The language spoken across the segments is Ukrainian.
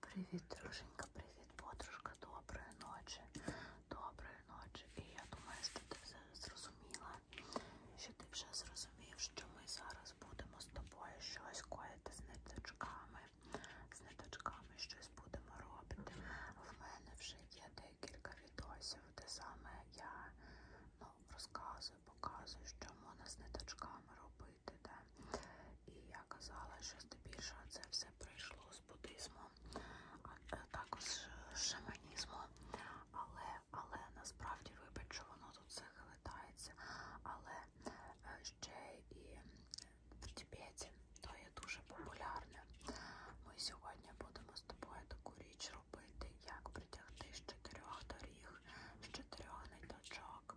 Привіт, друженька, привіт, подружка, доброї ночі, доброї ночі. І я думаю, що ти все зрозуміла, що ти вже зрозумів, що ми зараз будемо з тобою щось коїти з ниточками, з ниточками щось будемо робити. В мене вже є декілька відосів, де саме я ну, розказую, показую, що можна з ниточками робити. Де? І я казала, що здебільшого це все прийшло з буддизму, а е, також з шаманізму. Але але насправді вибач, що воно тут все хилитається. Але е, ще і в Тібеті то є дуже популярне. Ми сьогодні будемо з тобою таку річ робити, як притягти з чотирьох доріг, з чотирьох ниточок,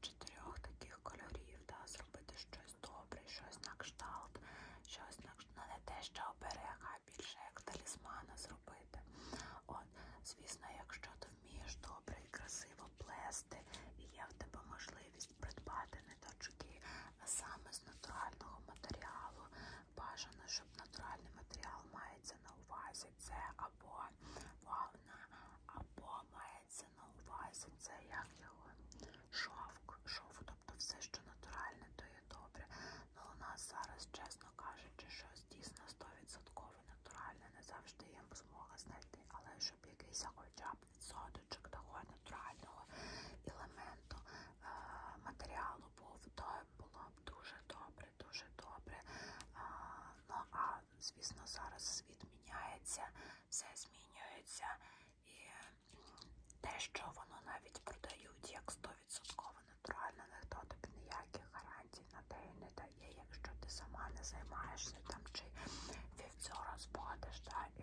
чотирьох таких кольорів, да, зробити щось добре, щось на кшталт, щось на кшталт, ну, не те, що оберега, а більше як талісмана зробити. От, Звісно, якщо ти вмієш добре і красиво плести, і є в тебе можливість придбати ниточки саме з натурального матеріалу, бажано, щоб натуральний матеріал мається на увазі, це або вовна, або має мається на увазі, це як його шовк, шов, тобто все, що натуральне, то є добре. Ну у нас зараз, чесно кажучи, щось дійсно 100% натуральне, не завжди є змога знайти, але щоб якийсь хоча б відсоточок такого натурального елементу е матеріалу був, то було б дуже добре, дуже добре. Е ну а звісно, зараз світ міняється, все змінюється. І те, що воно навіть продають, як 100% натурально, ніхто тобі ніяких гарантій на те не дає, якщо ти сама не займаєшся там чи вівцьора збагатиш, та, і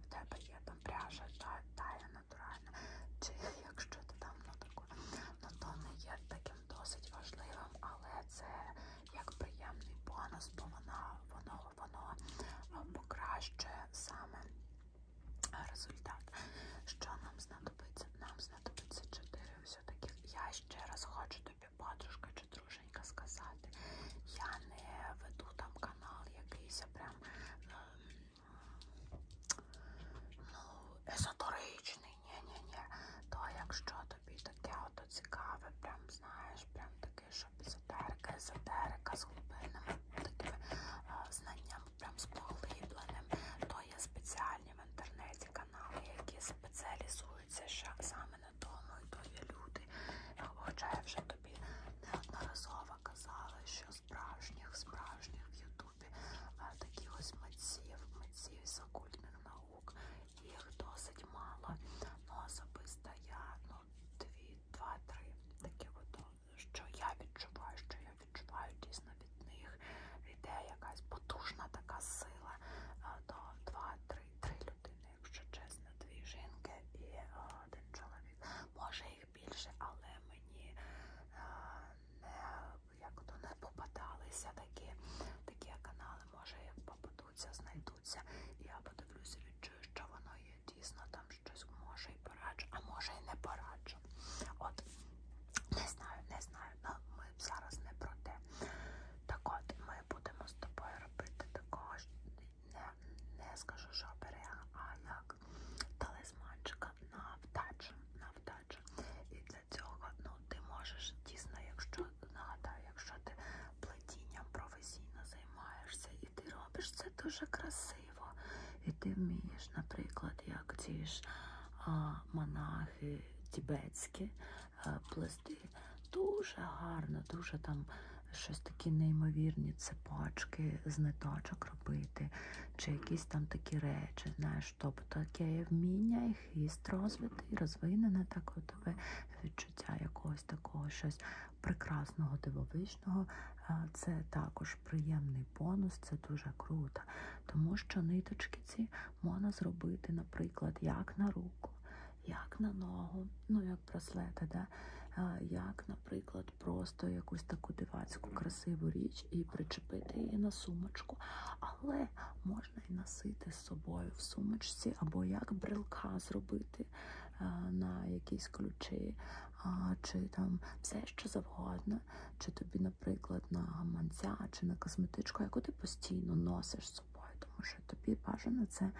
в тебе є там пряжа, та, та є натуральна, чи якщо ти там ну, таку, ну то не є таким досить важливим, але це як приємний бонус, бо воно, воно, воно е, покращує саме результат. Що нам знадобиться? Нам знадобиться 4 все-таки. Я ще раз хочу тобі, подружка чи друженька, сказати. Я не веду там канал якийсь прям е, ну, езотеричний. Ні-ні-ні. То якщо тобі таке ото цікаве, прям знаєш, прям таке, що езотерика, езотерика з глибинними такими а, знаннями, прям з поглибленим. То є спеціальні в інтернеті канали, які спеціалізуються ще саме на тому, і то є люди. Хоча я вже тобі неодноразово казала, що справжніх, справжніх в Ютубі таких ось митців, митців з окультних наук, їх досить мало. Ну, особисто я ну, дві, два-три такі от, що я відчуваю, що я відчуваю дійсно від них. Іде якась потужна така сила. То е, два-три три людини, якщо чесно, дві жінки і е, один чоловік. Може їх більше, але мені е, не як то не попадалися такі, такі канали, може їх попадали знайдуться, знайдуться. Я подивлюся, відчую, що воно є дійсно, там щось може і пораджу, а може і не пораджу. От, не знаю, не знаю, але ну, ми зараз не про те. Так от, ми будемо з тобою робити такого, не, не скажу, що оберіга, а як талисманчика на вдачу, на вдачу. І для цього ну, ти можеш дійсно, якщо нагадаю, якщо ти плетінням професійно займаєшся і ти робиш це дуже красиво. І ти вмієш, наприклад, як ці ж а, монахи тібетські плести дуже гарно, дуже там щось такі неймовірні цепачки з ниточок робити, чи якісь там такі речі. Знаєш, тобто таке вміння і хіст розвитий, розвинене так тебе відчуття якогось такого щось прекрасного, дивовижного. Е, це також приємний бонус, це дуже круто. Тому що ниточки ці можна зробити, наприклад, як на руку, як на ногу, ну як браслети, да? Е, як, наприклад, просто якусь таку дивацьку красиву річ і причепити її на сумочку. Але можна і носити з собою в сумочці, або як брелка зробити е, на якісь ключі, чи там все що завгодно, чи тобі, наприклад, на гаманця, чи на косметичку, яку ти постійно носиш з собою, тому що тобі бажано це е,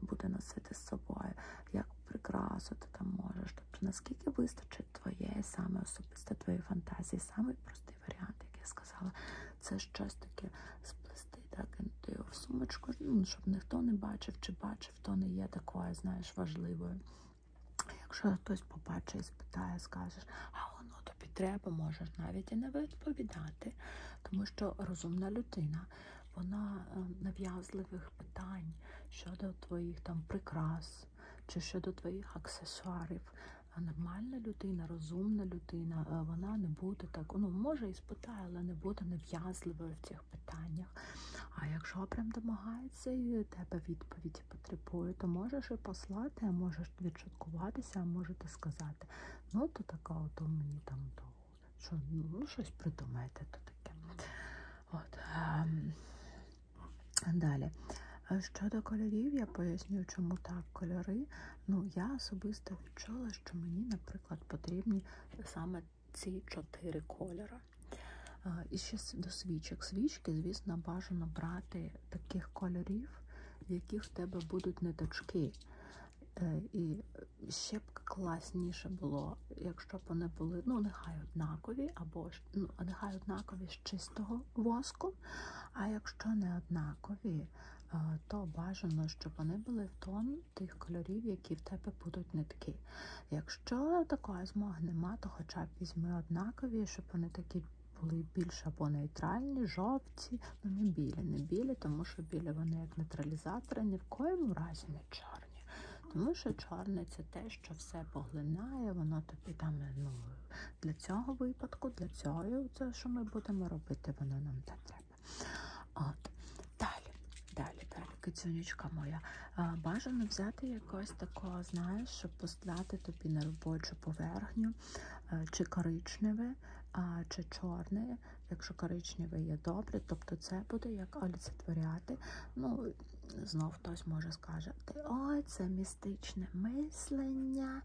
буде носити з собою, як прикрасу ти там можеш. Тобто наскільки вистачить твоєї саме особисто твоєї фантазії, самий простий варіант, як я сказала це щось таке сплести, так, і його в сумочку, ну, щоб ніхто не бачив чи бачив, то не є такою, знаєш, важливою. Якщо хтось побачить і спитає, скажеш, а воно ну, тобі треба, можеш навіть і не відповідати, тому що розумна людина. Вона е, нав'язливих питань щодо твоїх там прикрас чи щодо твоїх аксесуарів. А нормальна людина, розумна людина, е, вона не буде так, ну може і спитає, але не буде нав'язливою в цих питаннях. А якщо прям домагається і тебе відповіді потребує, то можеш і послати, а можеш відшуткуватися, а можете сказати, ну то така, ото мені там то, що ну, щось придумаєте то таке. От. Ем, далі. Щодо кольорів, я поясню, чому так кольори. Ну, я особисто відчула, що мені, наприклад, потрібні саме ці чотири кольори. І ще до свічок. Свічки, звісно, бажано брати таких кольорів, в яких в тебе будуть ниточки. Е, і ще б класніше було, якщо б вони були, ну, нехай однакові, або ну, нехай однакові з чистого воску. А якщо не однакові, Е, то бажано, щоб вони були в тон тих кольорів, які в тебе будуть нитки. Якщо такої змоги нема, то хоча б візьми однакові, щоб вони такі були більш або нейтральні, жовті, ну не білі, не білі, тому що білі вони як нейтралізатори, ні в коєму разі не чорні. Тому що чорне це те, що все поглинає, воно тобі там ну, для цього випадку, для цього, це, що ми будемо робити, воно нам не треба себе. От. Далі, далі, далі, кицюнечка моя. Бажано взяти якось такого, знаєш, щоб послати тобі на робочу поверхню, е, чи коричневе, чи чорне. Якщо коричневе є добре, тобто це буде як оліцетворяти. Ну, знов хтось може скаже, ой, це містичне мислення,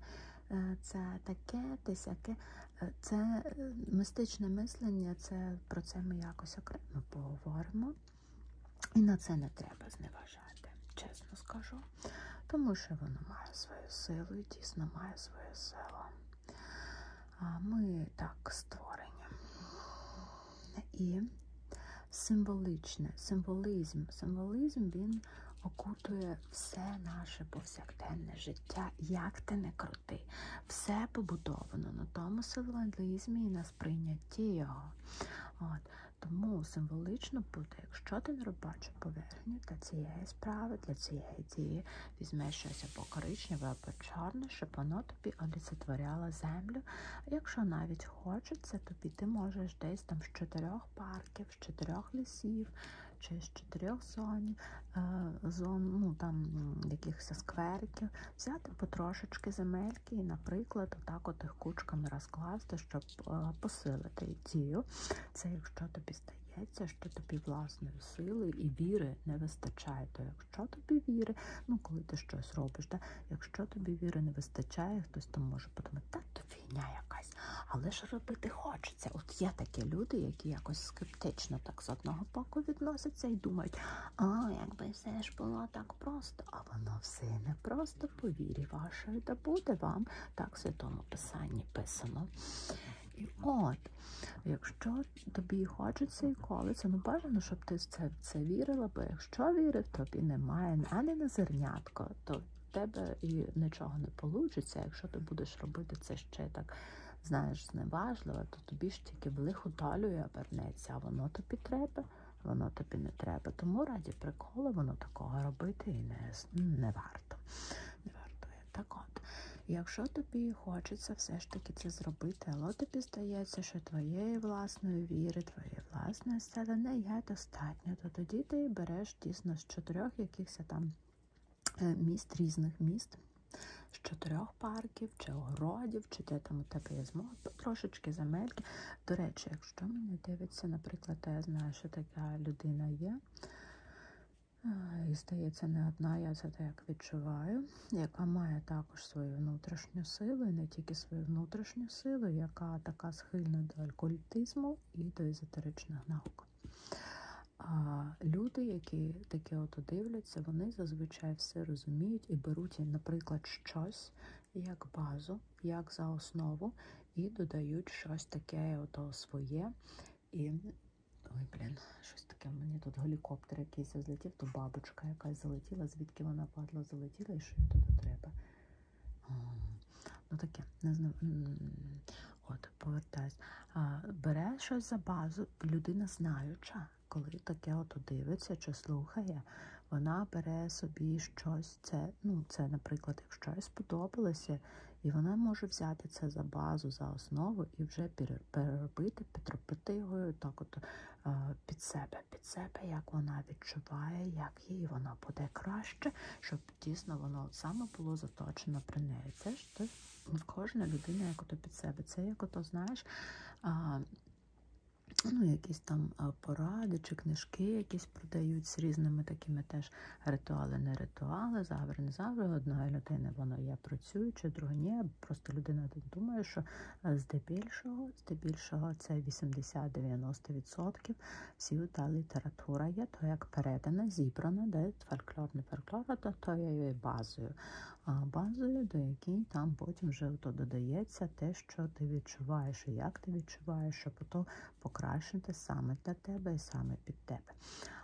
е, це таке, те сяке. Це е, мистичне мислення, це про це ми якось окремо поговоримо. І на це не треба зневажати, чесно скажу. Тому що воно має свою силу і дійсно має свою силу. А Ми так створені. І символичне, символізм. Символізм він окутує все наше повсякденне життя, як ти не крути, все побудовано на тому символізмі і на сприйнятті його. От. Тому символічно буде, якщо ти не робочу поверхню для цієї справи, для цієї дії, візьмеш щось або коричневе, або чорне, щоб воно тобі олицетворяло землю. Якщо навіть хочеться, тобі ти можеш десь там з чотирьох парків санів, з чотирьох лісів чи з чотирьох зонів, е, зон, ну там якихось сквериків, взяти потрошечки земельки і, наприклад, отак от їх кучками розкласти, щоб е, посилити дію. Це якщо тобі стає. Що тобі власної сили і віри не вистачає, то якщо тобі віри, ну коли ти щось робиш, да? якщо тобі віри не вистачає, хтось там може подумати, та то війня якась, але ж робити хочеться хочеться. От є такі люди, які якось скептично так з одного боку відносяться і думають, а якби все ж було так просто, а воно все не просто по вірі вашої, да буде вам, так в святому писанні писано. І от, якщо тобі хочеться і колиться, ну бажано, щоб ти в це, в це вірила, бо якщо вірив, тобі немає ані на зернятко, то в тебе і нічого не вийде, якщо ти будеш робити це ти ще так знаєш зневажлива, то тобі ж тільки в лиху талію обернеться, а воно тобі треба, воно тобі не треба. Тому раді приколи воно такого робити і не, не варто. Не варто. Так от. Якщо тобі хочеться все ж таки це зробити, але тобі здається, що твоєї власної віри, твоєї власної сили не є достатньо, то тоді ти береш дійсно з чотирьох якихось там Е, міст різних міст. З чотирьох парків, чи огородів, чи де там у тебе є змога, трошечки земельки. До речі, якщо мене дивиться, наприклад, я знаю, що така людина є, е, і здається, не одна, я це так відчуваю, яка має також свою внутрішню силу, і не тільки свою внутрішню силу, яка така схильна до алькультизму і до езотеричних наук. А люди, які таке ото дивляться, вони зазвичай все розуміють і беруть, наприклад, щось як базу, як за основу, і додають щось таке ото своє. І ой, блін, щось таке. Мені тут гелікоптер якийсь злетів, то бабочка якась залетіла, звідки вона падла, залетіла і що їй туди треба. Ну таке, не знаю. От, повертаюсь, бере щось за базу, людина знаюча, коли таке от дивиться чи слухає, вона бере собі щось. Це, ну, це, наприклад, якщо їй сподобалося, і вона може взяти це за базу, за основу і вже переробити, підробити його так от під себе, під себе, як вона відчуває, як їй воно буде краще, щоб дійсно воно саме було заточено при неї. Це ж бачите? Кожна людина як ото під себе. Це як ото, знаєш, а, ну, якісь там поради чи книжки якісь продають з різними такими теж ритуали, не ритуали, завжди, не завжди. Одна людина вона є працююча, друга ні. Просто людина думає, що е, здебільшого, здебільшого це 80-90%. Всі та література є, то як передана, зібрана, де фольклорний фольклор, тобто я є базою, базою, до якій там потім вже то додається те, що ти відчуваєш, і як ти відчуваєш, щоб то покращити саме для тебе і саме під тебе.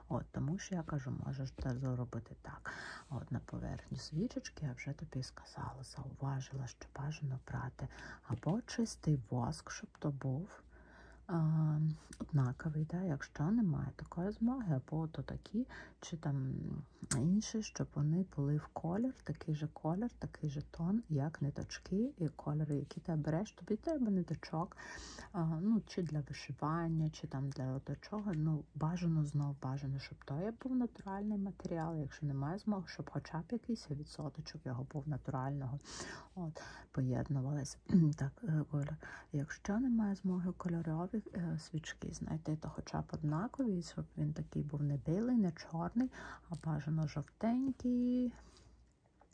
От, Тому що я кажу, можеш це зробити так. От На поверхні свічечки я вже тобі сказала, зауважила, що бажано брати або чистий воск, щоб то був однаковий. Да? Якщо немає такої змоги, або то такі, чи там інші, щоб вони були в колір, такий же колір, такий же тон, як ниточки і кольори, які ти береш, тобі треба ниточок, ну, чи для вишивання, чи там для до чого. Ну, бажано знов бажано, щоб то був натуральний матеріал, якщо немає змоги, щоб хоча б якийсь відсоточок його був натурального. От, поєднувалися зараз. так, е, Оля, Якщо немає змоги кольорові е, свічки, знайти, то хоча б однакові, щоб він такий був не білий, не чорний, а бажано жовтенький.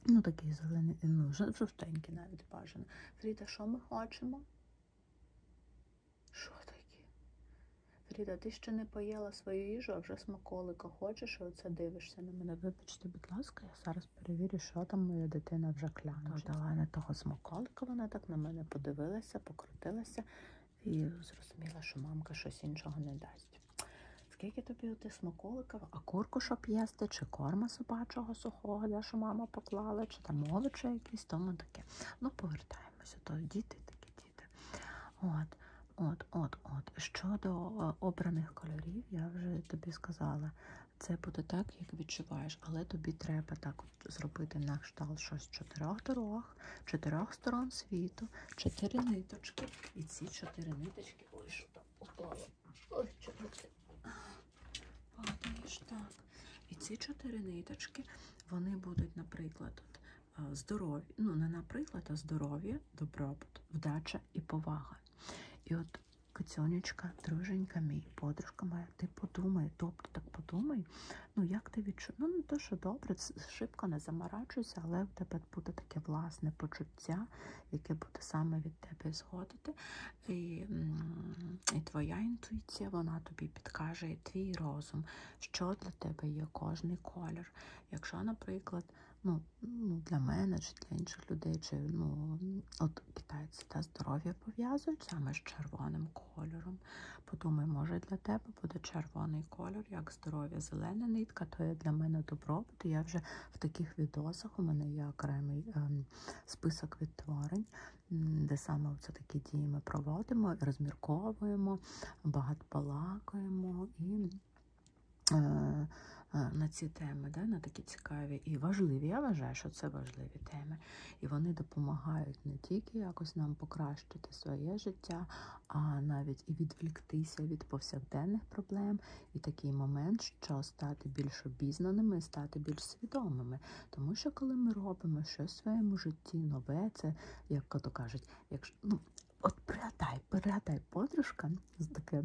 Ну, такий зелений, ну, жовтенький навіть бажано. Фріда, що ми хочемо? Що таке? Фріда, ти ще не поїла свою їжу, а вже смаколика хочеш, і оце дивишся на мене. Вибачте, будь ласка, я зараз. Зараз перевірю, що там моя дитина вже кляне. Дала не того смаколика, вона так на мене подивилася, покрутилася і зрозуміла, що мамка щось іншого не дасть. Скільки тобі ти смаколиків, а курку щоб їсти, чи корма собачого сухого, де що мама поклала, чи там овочі якісь, тому таке. Ну, повертаємося, то діти такі діти. От, от, от, от. Щодо е, обраних кольорів, я вже тобі сказала. Це буде так, як відчуваєш, але тобі треба так от зробити на кшталт щось чотирьох дорог, чотирьох сторон світу, чотири ниточки. І ці чотири ниточки. Ой, що там упало. Ой, чотири. Падаєш так. І ці чотири ниточки, вони будуть, наприклад, е, здорові. Ну, не наприклад, а здоров'я, добробут, вдача і повага. І от Кицьонечка, друженька мій, подружка моя, ти подумай, добре тобто так подумай. Ну, як ти відчуваєш? Ну, не то, що добре, шибко не замарачуйся, але в тебе буде таке власне почуття, яке буде саме від тебе згодити. І і твоя інтуїція, вона тобі підкаже, і твій розум, що для тебе є кожний колір. Якщо, наприклад, ну, ну, ну, для мене чи для інших людей, чи ну, от китайці та здоров'я пов'язують саме з червоним кольором. Подумай, може для тебе буде червоний кольор, як здоров'я, зелена нитка, то є для мене добробут. Я вже в таких відосах у мене є окремий ем, список відтворень, де саме це такі дії ми проводимо, розмірковуємо, багатбалакуємо і. Е, е, на ці теми, да, на такі цікаві і важливі. Я вважаю, що це важливі теми. І вони допомагають не тільки якось нам покращити своє життя, а навіть і відвліктися від повсякденних проблем. І такий момент, що стати більш обізнаними, стати більш свідомими. Тому що, коли ми робимо щось в своєму житті, нове, це як то кажуть, якщо ну. От пригадай, пригадай подружка, таке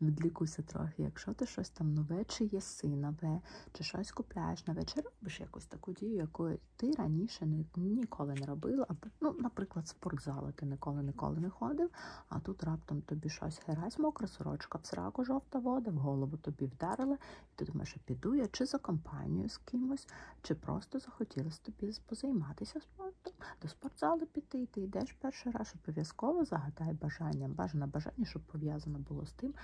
відлікуйся трохи. Якщо ти щось там нове, чи є синове, чи щось купляєш на вечір, робиш якусь таку дію, якої ти раніше ніколи не робила. Ну, Наприклад, спортзали ти ніколи ніколи не ходив, а тут раптом тобі щось герась, мокра сорочка, в сраку, жовта вода, в голову тобі вдарила, і ти думаєш, що піду я чи за компанію з кимось, чи просто захотілося тобі позайматися спортом, до спортзалу піду піти, і ти йдеш перший раз, обов'язково загадай бажання. Бажане бажання, щоб пов'язано було з тим,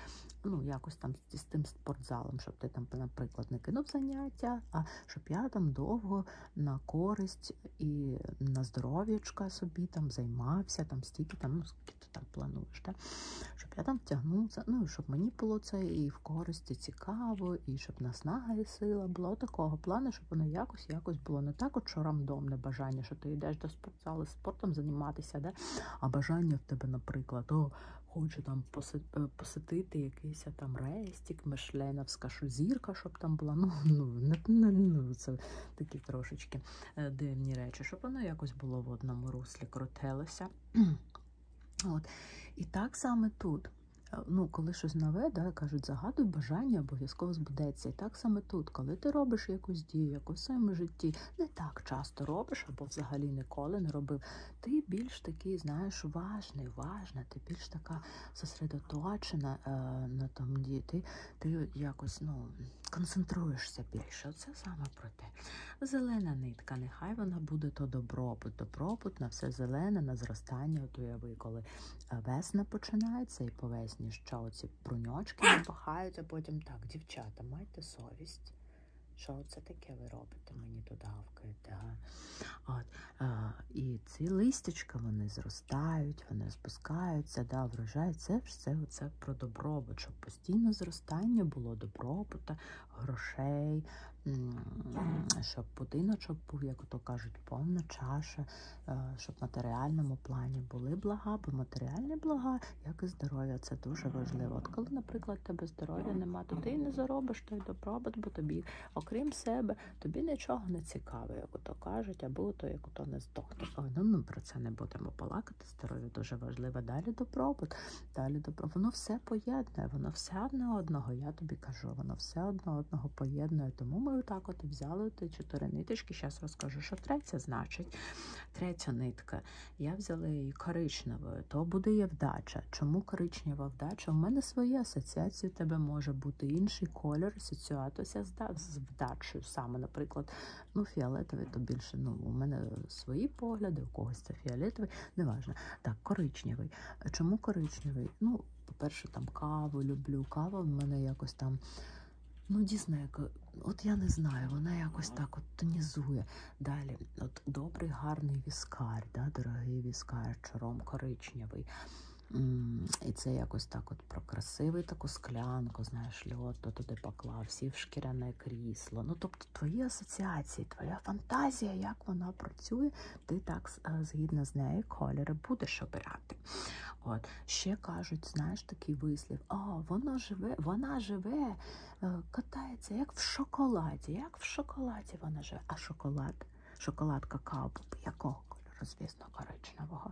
ну якось там з тим спортзалом, щоб ти там, наприклад, не кинув заняття, а щоб я там довго на користь і на здоров'ячка собі там займався, там стільки там, ну скільки ти там плануєш, так? щоб я там втягнувся, ну щоб мені було це і в користі цікаво, і щоб наснага і сила було такого плану, щоб воно якось якось було не так, от що рандомне бажання, що ти йдеш до спортзали, спортом займатися, да? а бажання в тебе, наприклад, о, хочу там е, посетити якийсь там рестик, мешленовська що зірка, щоб там була. Ну, ну, не, ну Це такі трошечки е, дивні речі, щоб воно якось було в одному руслі, крутилося. От. І так саме тут. Е, ну, Коли щось нове, да, кажуть, загадуй бажання обов'язково збудеться. І так так саме тут, коли ти робиш якусь дію, яку в своєму житті не так часто робиш, або взагалі ніколи не робив, ти більш такий, знаєш, важний, важна, ти більш така зосередоточена е, на тому діти, ти якось ну, концентруєшся більше. Оце саме про те. Зелена нитка, нехай вона буде то добробут, добробут на все зелене, на зростання. От уяви, коли е, весна починається і по весні ще оці ці бруньочки напахають, а потім так, дівчата, майте совість. Що це таке ви робите? Мені тут гавкаєте. А? а, і ці листячка вони зростають, вони спускаються, да, врожай. Це все це про добробут, щоб постійно зростання було добробута, грошей, щоб будиночок був, як то кажуть, повна чаша. Е, щоб в матеріальному плані були блага, бо матеріальні блага, як і здоров'я, це дуже важливо. От коли, наприклад, тебе здоров'я нема, то ти і не заробиш той добробут, бо тобі, окрім себе, тобі нічого не цікаво, як ото кажуть, або то як ото не здохне. Ой, ну ми про це не будемо балакати. Здоров'я дуже важливе. Далі добробут, далі добро. Воно все поєднує, воно все одне одного. Я тобі кажу, воно все одне одного поєднує. Тому ми так от і взяли зробити 4 ниточки. Зараз розкажу, що третя значить. Третя нитка. Я взяла її коричневою, то буде є вдача. Чому коричнева вдача? У мене свої асоціації, у тебе може бути інший колір, асоціатися з вдачею. Саме, наприклад, ну, фіолетовий, то більше ну, у мене свої погляди, у когось це фіолетовий, неважно. Так, коричневий. Чому коричневий? Ну, по-перше, там каву люблю. Кава в мене якось там. Ну, Діснейко, от я не знаю, вона якось так от тонізує. Далі, от добрий, гарний віскар, да, дорогий віскар, чором коричневий. І це якось так от про красивий таку склянку, знаєш, льот то туди поклав, сів шкіряне крісло. Ну, тобто твої асоціації, твоя фантазія, як вона працює, ти так згідно з нею кольори будеш обирати. От. Ще кажуть, знаєш, такий вислів: а вона живе, вона живе, е, катається як в шоколаді, як в шоколаді вона живе. А шоколад, шоколад какао, якого кольору, звісно, коричневого.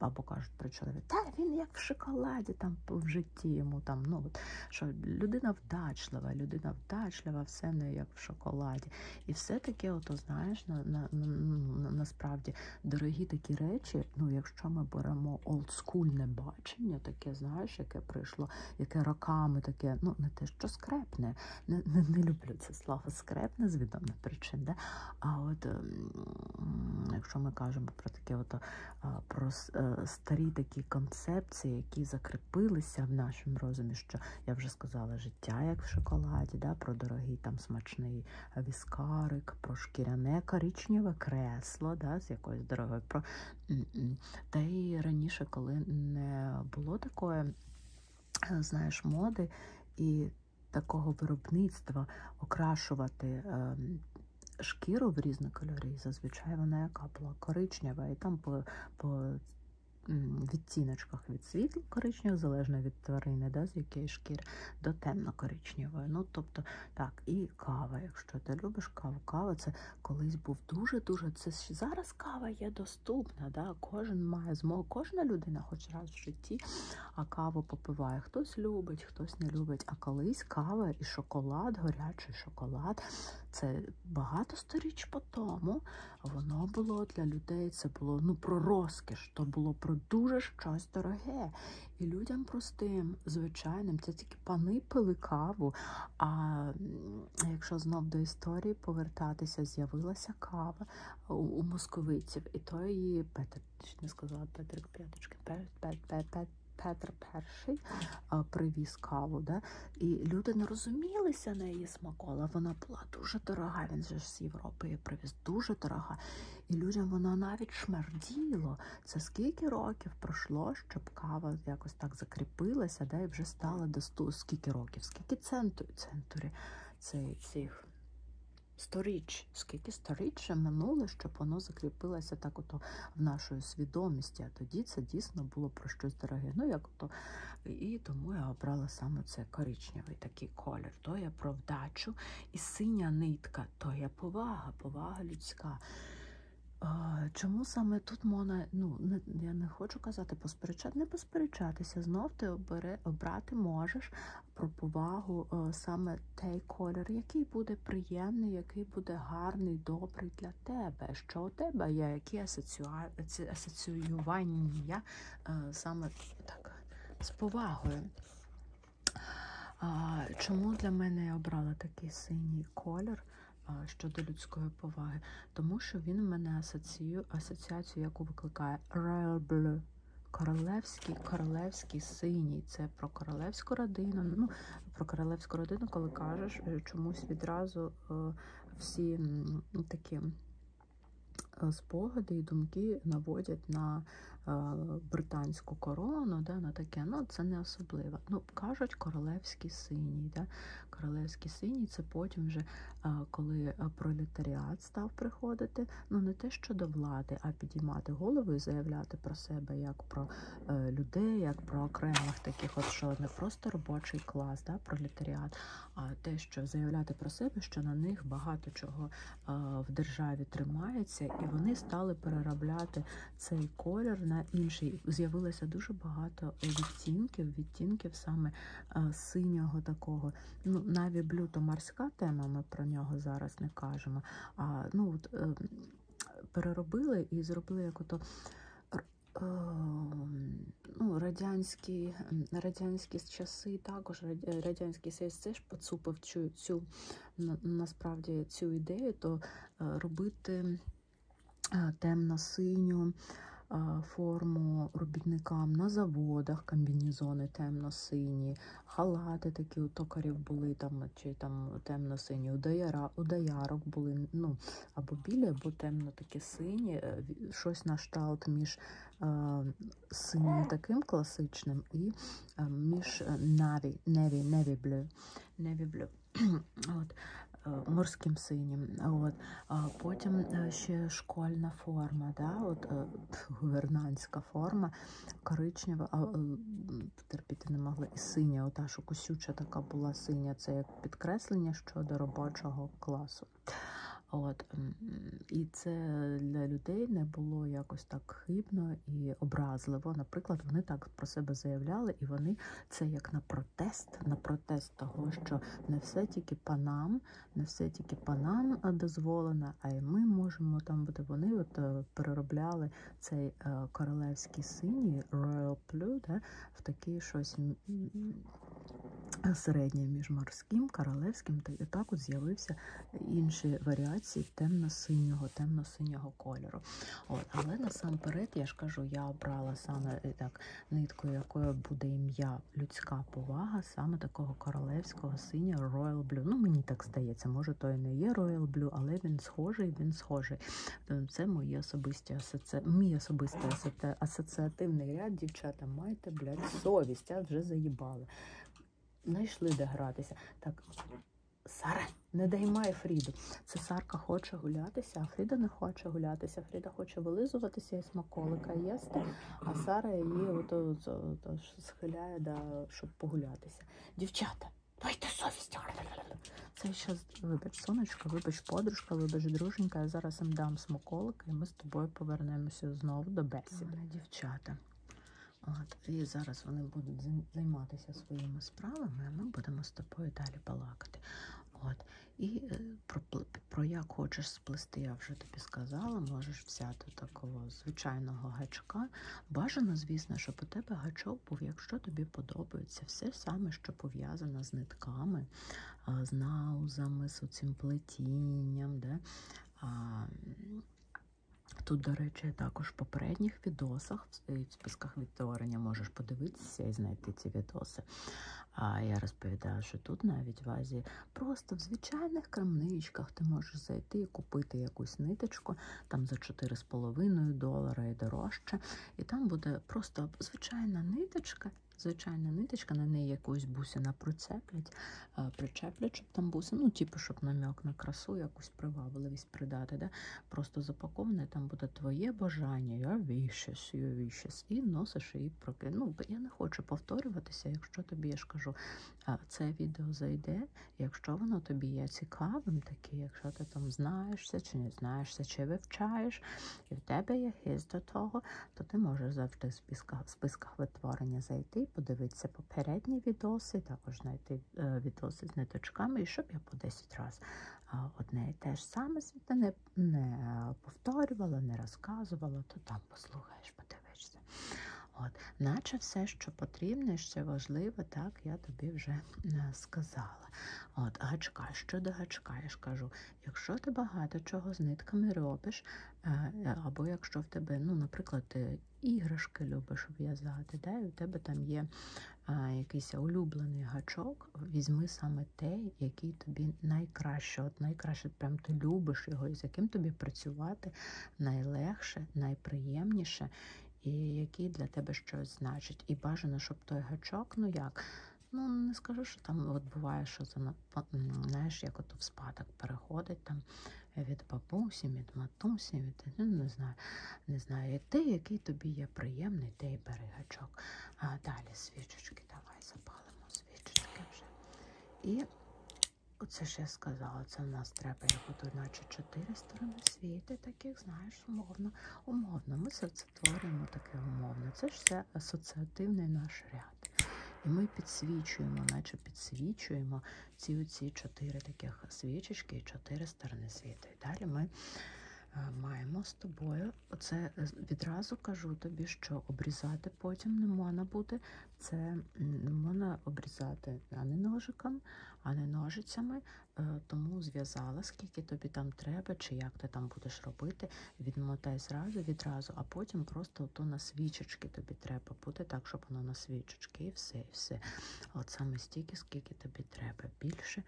Або кажуть про чоловіка, та він як в шоколаді там в житті йому там. ну от, що Людина вдачлива, людина вдачлива, все не як в шоколаді. І все таке, ото знаєш, на, на, на, насправді дорогі такі речі наче, ну, якщо ми беремо олдскульне бачення, таке, знаєш, яке прийшло, яке роками таке, ну не те, що скрепне, не не, не люблю це слово скрепне з відомих причин. Да? А от ем, якщо ми кажемо про таке, от, е, про е, старі такі концепції, які закріпилися в нашому розумі, що я вже сказала життя як в шоколаді, да? про дорогий там смачний віскарик, про шкіряне коричневе кресло, да, з якоюсь дорогою. Про... Та й раніше, коли не було такої, е, знаєш, моди і такого виробництва окрашувати. Ем, шкіру в різні кольори, зазвичай вона яка була коричнева, і там по по відтіночках від світла коричневих, залежно від тварини, да, з якої шкіри, до темно-коричневої. Ну, тобто, так, і кава. Якщо ти любиш каву, кава це колись був дуже-дуже. Це Зараз кава є доступна. да, Кожен має змогу, кожна людина хоч раз в житті, а каву попиває. Хтось любить, хтось не любить. А колись кава і шоколад, горячий шоколад. Це багато сторіч по тому. Воно було для людей, це було ну, про розкіш, то було про дуже щось дороге. І людям простим, звичайним, це тільки пани пили каву. А якщо знов до історії повертатися, з'явилася кава у, у московиців, і то її Петр не сказала Петрик П'яточкин, Петр перший привіз каву, да? і люди не розумілися на її смакола. Вона була дуже дорога. Він же ж з Європи її привіз дуже дорога. І людям воно навіть шмерділо. Це скільки років пройшло, щоб кава якось так закріпилася, да, і вже стала до 100, скільки років, скільки центурі, центурі цих сторіч, скільки сторіччя минуло, щоб воно закріпилося так ото в нашої свідомості. А тоді це дійсно було про щось дороге. Ну, як ото, І тому я обрала саме це коричневий такий кольор колір, то є про вдачу, і синя нитка то є повага, повага людська. Чому саме тут можна, ну не, я не хочу казати, посперечати, не посперечатися. Знов ти обери, обрати можеш про повагу о, е, саме той колір, який буде приємний, який буде гарний, добрий для тебе. Що у тебе є, які асоціювання е, саме так з повагою. Чому для мене я обрала такий синій колір щодо людської поваги? Тому що він в мене асоціює асоціацію, яку викликає Royal Blue. Королевський, королевський синій. Це про королевську родину. Ну, Про королевську родину, коли кажеш, е, чомусь відразу е, всі такі Е, спогади і думки наводять на е, британську корону, да, на таке, ну це не особливо. Ну, Кажуть, королевський синій. Да? Королевський синій це потім вже е, коли пролетаріат став приходити, ну не те, що до влади, а підіймати голову і заявляти про себе як про людей, як про окремих таких, от що не просто робочий клас, да, пролетаріат, а те, що заявляти про себе, що на них багато чого в державі тримається, і вони стали переробляти цей колір на інший. З'явилося дуже багато відтінків, відтінків саме синього такого. Ну, Наві блю то морська тема, ми про нього зараз не кажемо. А ну от е, переробили і зробили як ото. Е, ну, радянські радянські часи, також радянські український ССС теж поцупив цю, цю насправді цю ідею, то е, робити е, темно-синю е, форму робітникам на заводах, комбінезони темно-сині, халати такі у токарів були там, чи там темно-сині, у, дояра, у доярок були, ну, або білі, або темно такі сині, щось на шталт між синім таким класичним і е, між наві, неві, неві блю, неві блю. От, е, морським синім. От. Потім е, ще школьна форма, да? От, гувернантська форма, коричнева, а терпіти не могла і синя, ота, що косюча така була синя, це як підкреслення щодо робочого класу. От і це для людей не було якось так хибно і образливо. Наприклад, вони так про себе заявляли, і вони це як на протест, на протест того, що не все тільки панам, не все тільки панам дозволено, а й ми можемо там бути. Вони от е, переробляли цей е, королевський синій Royal Blue, да, в такий щось середнє між морським, королевським, то і також з'явився інші варіації темно-синього, темно-синього кольору. От, Але насамперед, я ж кажу, я обрала саме е, так нитку, якою буде ім'я людська повага, саме такого королевського синього Royal Blue. Ну, мені так здається, може, то і не є Royal Blue, але він схожий, він схожий. Е, це мої особисті асоці... мій особистий асоціативний ряд. Дівчата, майте, блядь, совість, а вже заїбали. Знайшли де гратися. Так, Сара, не даймай Фріду. Це Сарка хоче гулятися, а Фріда не хоче гулятися. Фріда хоче вилизуватися і смаколика їсти, а Сара її ото, ото схиляє, да, щоб погулятися. Дівчата, дайте совість. Це ще вибач сонечко, вибач подружка, вибач друженька. Я зараз їм дам смаколика, і ми з тобою повернемося знову до бесіди. Дівчата. От, І зараз вони будуть займатися своїми справами, а ми будемо з тобою далі балакати. От. І е, про про як хочеш сплести, я вже тобі сказала, можеш взяти такого звичайного гачка. Бажано, звісно, щоб у тебе гачок був, якщо тобі подобається, все саме, що пов'язано з нитками, з наузами, з оцим плетінням. Да? А, Тут, до речі, також в попередніх відосах, в списках відтворення можеш подивитися і знайти ці відоси. А я розповідаю, що тут навіть в Азії просто в звичайних крамничках ти можеш зайти і купити якусь ниточку там за 4,5 долара і дорожче. І там буде просто звичайна ниточка, звичайна ниточка, на неї якусь бусина прицеплять, е, причеплять щоб там буси, ну, типу, щоб нам'як на красу, якусь привабливість придати. Да? Просто запаковане, там буде твоє бажання, я віщес, я віщес, і носиш і проки. Ну, Я не хочу повторюватися, якщо тобі я ж кажу, це відео зайде, якщо воно тобі є цікавим, таке, якщо ти там знаєшся чи не знаєшся, чи вивчаєш, і в тебе є хист до того, то ти можеш завжди списках витворення зайти, подивитися попередні відоси, також знайти е, відоси з ниточками, і щоб я по 10 разів одне і те ж саме не, не повторювала, не розказувала, то там послухаєш, подивишся. От, Наче все, що потрібно, що важливо, так я тобі вже е, сказала. От, Гачка, щодо гачка, я ж кажу, якщо ти багато чого з нитками робиш, Е, або якщо в тебе, ну, наприклад, ти іграшки любиш в'язати, да, і в тебе там є е, якийсь улюблений гачок, візьми саме той, який тобі найкраще. От найкраще прям ти любиш його, і з яким тобі працювати найлегше, найприємніше, і який для тебе щось значить. І бажано, щоб той гачок, ну як. Ну, не скажу, що там от буває, що Ну, знаєш, як ото в спадок переходить там від бабусі, від матусі, від ну, не знаю, не знаю, і ти, який тобі є приємний, ти і бери гачок. А далі свічечки, давай запалимо свічечки вже. І оце ж я сказала, це в нас треба як наче чотири сторони світи, таких, знаєш, умовно, умовно. Ми це творимо таке умовно. Це ж все асоціативний наш ряд. І ми підсвічуємо, наче підсвічуємо ці оці чотири таких свічечки і чотири сторони світу. І далі ми е, маємо з тобою, це е, відразу кажу тобі, що обрізати потім не можна буде. Це не можна обрізати ані ножиком, ані ножицями, е, тому зв'язала, скільки тобі там треба, чи як ти там будеш робити, відмотай зразу, відразу, а потім просто просто ото на свічечки тобі треба буде, так, щоб воно на свічечки і все, і все. От саме стільки, скільки тобі треба. Більше,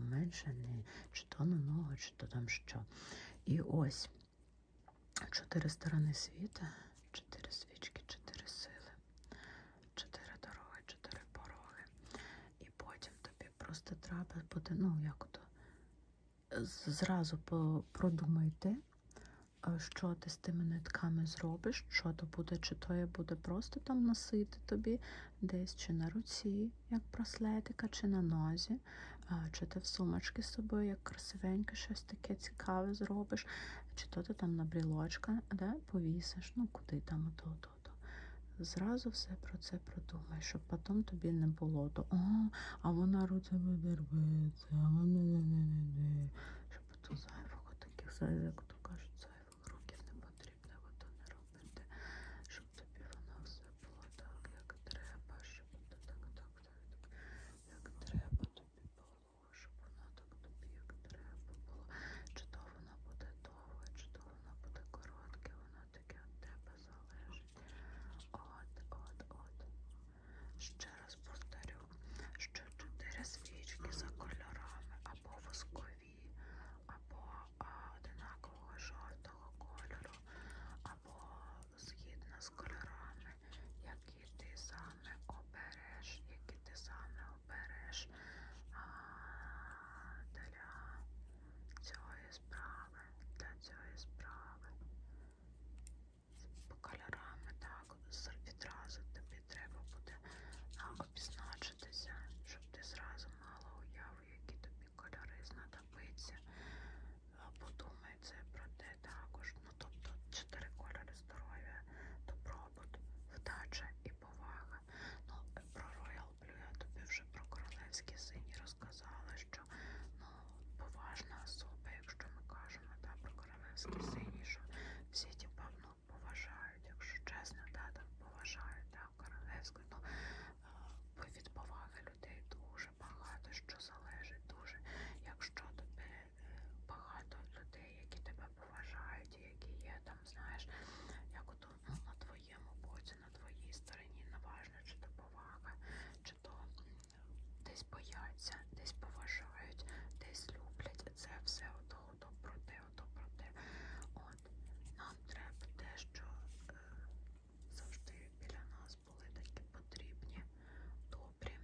менше, не чи то на ногу, чи то там що. І ось чотири сторони світа, чотири свічки, чотири сили, чотири дороги, чотири пороги. І потім тобі просто треба буде, ну як то, зразу продумайте що ти з тими нитками зробиш, що то буде, чи то я буде просто там носити тобі десь чи на руці, як браслетика, чи на нозі, чи ти в сумочці з собою, як красивеньке, щось таке цікаве зробиш, чи то ти там на брілочка де, повісиш, ну куди там ото, ото. Зразу все про це продумай, щоб потім тобі не було то, о, а вона руце щоб то зайвого таких зайвих, то кажуть, зайвих років не потрібно, бо то не робити, щоб тобі воно все було так, як треба, щоб то так, так, так, як треба тобі було, щоб воно так тобі, як треба було. Чи то воно буде довге, чи то воно буде коротке, воно таке від тебе залежить. От, от, от. Ще раз повторю, що чотири свічки за кольорами або воскові, або а, одинакового жовтого кольору, або згідно з кольорами, які ти саме обереш, які ти саме обереш а, для цієї справи, для цієї справи по кольорами, так, відразу тобі треба буде обізначитися, щоб ти зразу мала уяву, які тобі кольори знадобиться. Подумай це про те також. Ну, тобто чотири кольори здоров'я, добробут, вдача і повага. Ну, про Royal Blue я тобі вже про королевські сині розказала, що ну, поважна особа, якщо ми кажемо та, про королевські сині, що всі ті типу, ну, поважають, якщо чесно, та, так поважають та, королевську, ну від поваги людей дуже багато, що залежить дуже. Якщо тобі е, багато людей, які тебе поважають, які є там, знаєш, як ото ну, на твоєму боці, на твоїй стороні, неважно, чи то повага чи то десь бояться, десь поважають, десь люблять. Це все ото, ото про те, ото про те. От нам треба те, що е, завжди біля нас були такі потрібні, добрі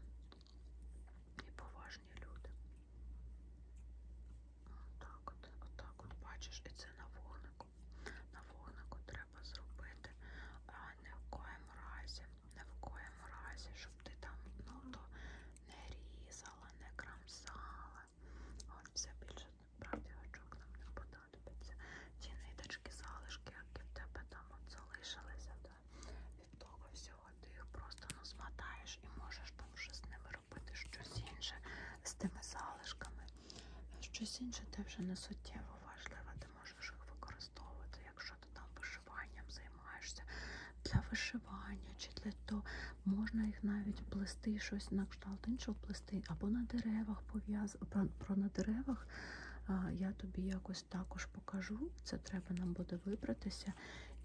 і поважні люди. Отак от, отак от, от бачиш, і це на вогнику. На вогнику треба зробити, а не в коєм разі не в коєму разі, щоб ти там ну, то не різала, не крамсала. От все більше правді очок нам не подобається. Ті ниточки, залишки, які в тебе там от залишилися, да? від того всього ти їх просто ну, змотаєш і можеш там вже з ними робити щось інше з тими залишками. Щось інше ти вже не суттєво важливе, ти можеш їх використовувати якщо ти там вишиванням займаєшся для вишивання чи для того, можна їх навіть плести, щось на кшталт іншого плести, або на деревах пов'яз... Про, про на деревах я тобі якось також покажу. Це треба нам буде вибратися.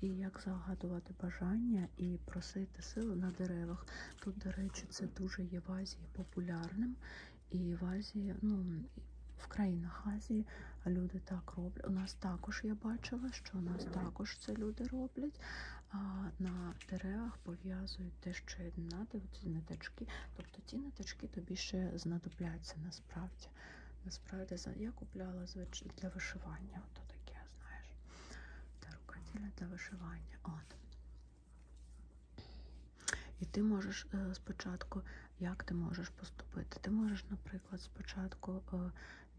І як загадувати бажання і просити сили на деревах. Тут, до речі, це дуже є в Азії популярним. І в Азії, ну в країнах Азії люди так роблять. У нас також я бачила, що у нас також це люди роблять. А на деревах пов'язують те, що є донати, ці ниточки. Тобто ті ниточки тобі ще знадобляться насправді. Насправді, я купляла для вишивання. Ото таке, знаєш. Та рукоділля для вишивання. От. І ти можеш е, спочатку, як ти можеш поступити? Ти можеш, наприклад, спочатку е,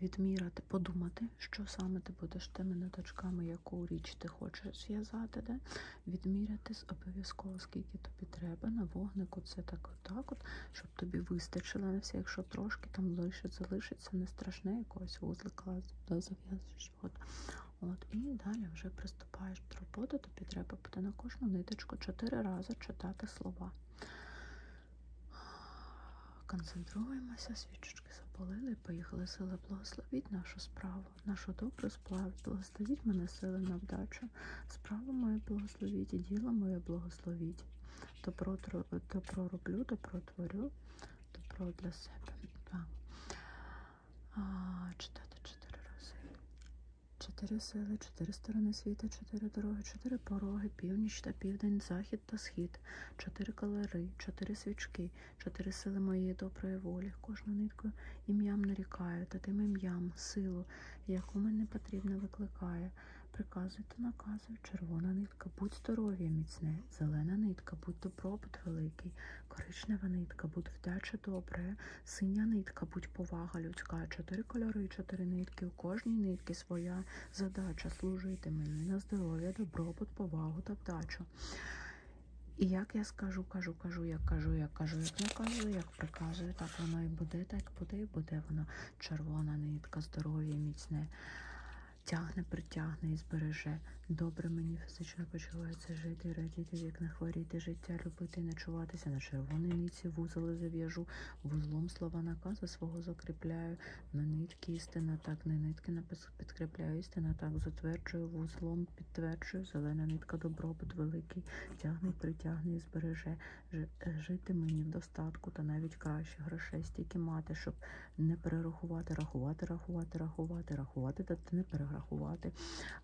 відміряти, подумати, що саме ти будеш тими ниточками, яку річ ти хочеш зв'язати, де відміряти обов'язково, скільки тобі треба на вогнику. Це так, отак, от, щоб тобі вистачило на все, якщо трошки там лишиться, залишиться, не страшне якогось вузлика зав'язуєш. От. От, і далі вже приступаєш до роботи буде, тобі треба буде на кожну ниточку 4 рази читати слова. Концентруємося, свічечки запалили, поїхали сили, благословіть нашу справу, нашу добру справу, благословіть мене сили на вдачу, справу мою благословіть і діло моє благословіть. Добро, добро роблю, добро творю, добро для себе. Так. А, Читати чотири рази. Чотири сили, чотири сторони світа, чотири дороги, чотири пороги, північ та південь, захід та схід, чотири калери, чотири свічки, чотири сили моєї доброї волі. Кожну нитку ім'ям нарікаю, та тим ім'ям, силу, яку мене потрібно викликає. Приказую та наказую, червона нитка, будь здоров'я міцне, зелена нитка, будь добробут великий, коричнева нитка, будь вдача добре, синя нитка, будь-повага людська, чотири кольори і чотири нитки. У кожній нитки своя задача служити мені на здоров'я, добробут, повагу та вдачу. І як я скажу, кажу, кажу, як кажу, як кажу, як не кажу, як приказую, так воно і буде, так буде, і буде воно червона нитка, здоров'я міцне. Тягне, притягне і збереже. Добре мені фізично почувається жити, радіти, вік не хворіти, життя любити, не чуватися на червоний нитці вузоли зав'яжу, вузлом слова наказу свого закріпляю, на нитки істина так, на нитки підкріпляю, істина так, затверджую, вузлом підтверджую, зелена нитка добробут великий, тягне, притягне і збереже, жити мені в достатку та навіть краще грошей, стільки мати, щоб не перерахувати, рахувати, рахувати, рахувати, рахувати та не перерахувати.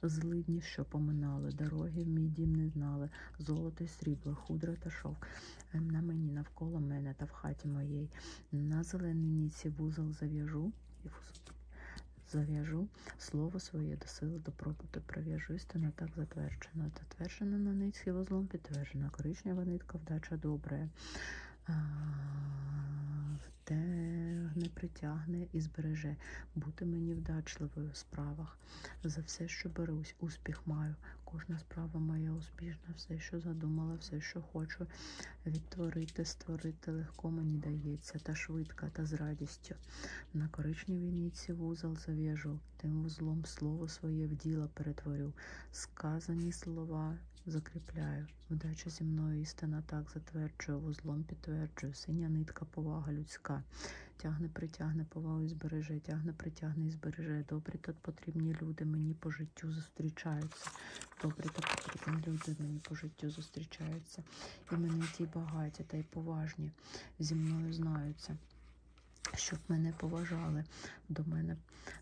Злидні, що поминали, дороги в мій дім не знали метали, золото і срібло, худро та шовк. Ем, на мені навколо мене та в хаті моїй. На зелениніці вузол зав'яжу і зав'яжу слово своє до сили до пропуту. Пров'яжу істину так затверджено. Затверджено на нитці вузлом підтверджена. Коричнева нитка, вдача добре. Те не притягне і збереже бути мені вдачливою в справах. За все, що берусь, успіх маю. Кожна справа моя успішна, все, що задумала, все, що хочу відтворити, створити легко мені дається, та швидко, та з радістю. На коричневій ніці вузол зав'яжу, тим вузлом слово своє в діло перетворю. Сказані слова закріпляю. Вдача зі мною істина так затверджую, вузлом підтверджую, синя нитка, повага людська тягне, притягне повагу і збереже, тягне, притягне і збереже. Добрі та потрібні люди мені по життю зустрічаються. Добрі та потрібні люди мені по життю зустрічаються. І мене ті багаті, та й поважні зі мною знаються. Щоб мене поважали, до мене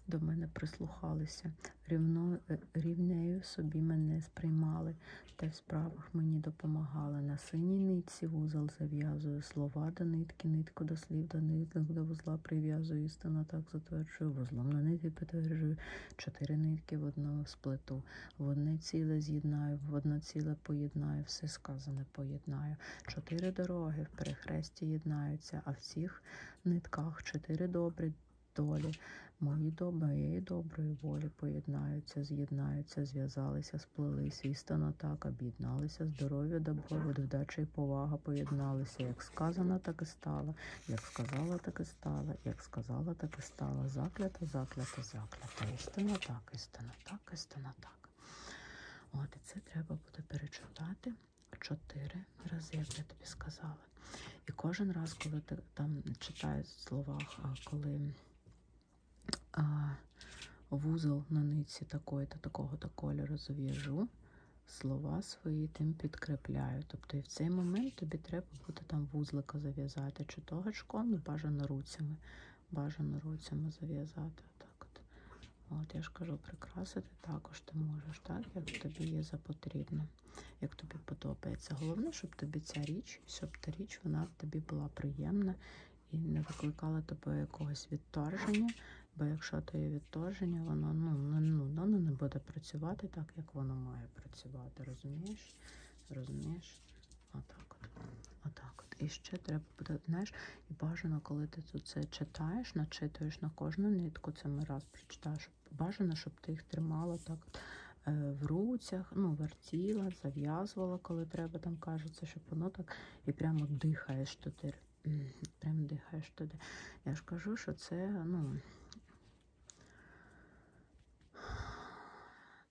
до мене прислухалися, рівно, е, рівнею собі мене сприймали, та справах мені допомагали. На синій нитці вузол зав'язую слова до нитки, нитку до слів, до ниток до вузла прив'язую, істина так затверджую, вузлом на нитки підтверджую, чотири нитки в одну сплету, в одне ціле з'єднаю, в одне ціле поєднаю, все сказане поєднаю. Чотири дороги в перехресті єднаються, а в цих нитках чотири добрі долі, мої моєї доброї волі долі поєднаються, з'єднаються, зв'язалися, сплелись, істина так, об'єдналися, здоров'я, добробут, вдача і повага поєдналися. Як сказано, так і стало, як сказала, так і стало, як сказала, так і стало. Заклята, заклята, заклята. Істина так, істина так, істина так. От і це треба буде перечитати чотири рази, як я тобі сказала. І кожен раз, коли ти там читаєш в словах, коли вузол на нитці такої-то, такого-то кольору зв'яжу, слова свої тим підкріпляю. Тобто і в цей момент тобі треба буде там вузлика зав'язати, чи то гачком, ну бажано руцями. Бажано руцями зав'язати. Так от. От я ж кажу, прикрасити також ти можеш, так, як тобі є за потрібно, як тобі подобається. Головне, щоб тобі ця річ, щоб та річ вона тобі була приємна і не викликало тебе якогось відторження, бо якщо то є відторження, воно ну, ну, воно не буде працювати так, як воно має працювати. Розумієш? Розумієш? Отак от. Отак от. І ще треба буде, знаєш, і бажано, коли ти тут це читаєш, начитуєш на кожну нитку, це ми раз прочитаєш. Бажано, щоб ти їх тримала так е, в руцях, ну, вертіла, зав'язувала, коли треба, там кажеться, щоб воно так і прямо дихаєш туди. Прямо дихаєш туди. Я ж кажу, що це, ну,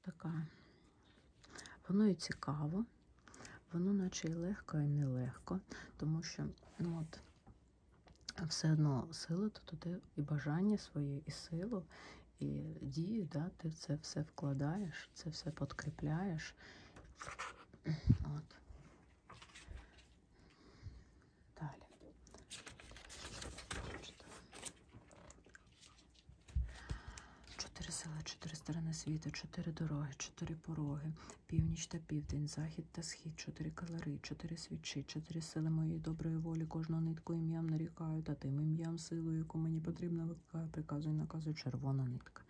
така, воно і цікаво, воно наче і легко, і нелегко, тому що, ну от, все одно сила то туди і бажання своє, і силу, і дію, да, ти це все вкладаєш, це все подкріпляєш. От. Далі. Чотири села, чотири сторони світу, чотири дороги, чотири пороги, північ та південь, захід та схід, чотири калери, чотири свічі, чотири сили моєї доброї волі, кожного нитку ім'ям нарікаю, та тим ім'ям силою, яку мені потрібно виконувати приказу і наказу червона нитка.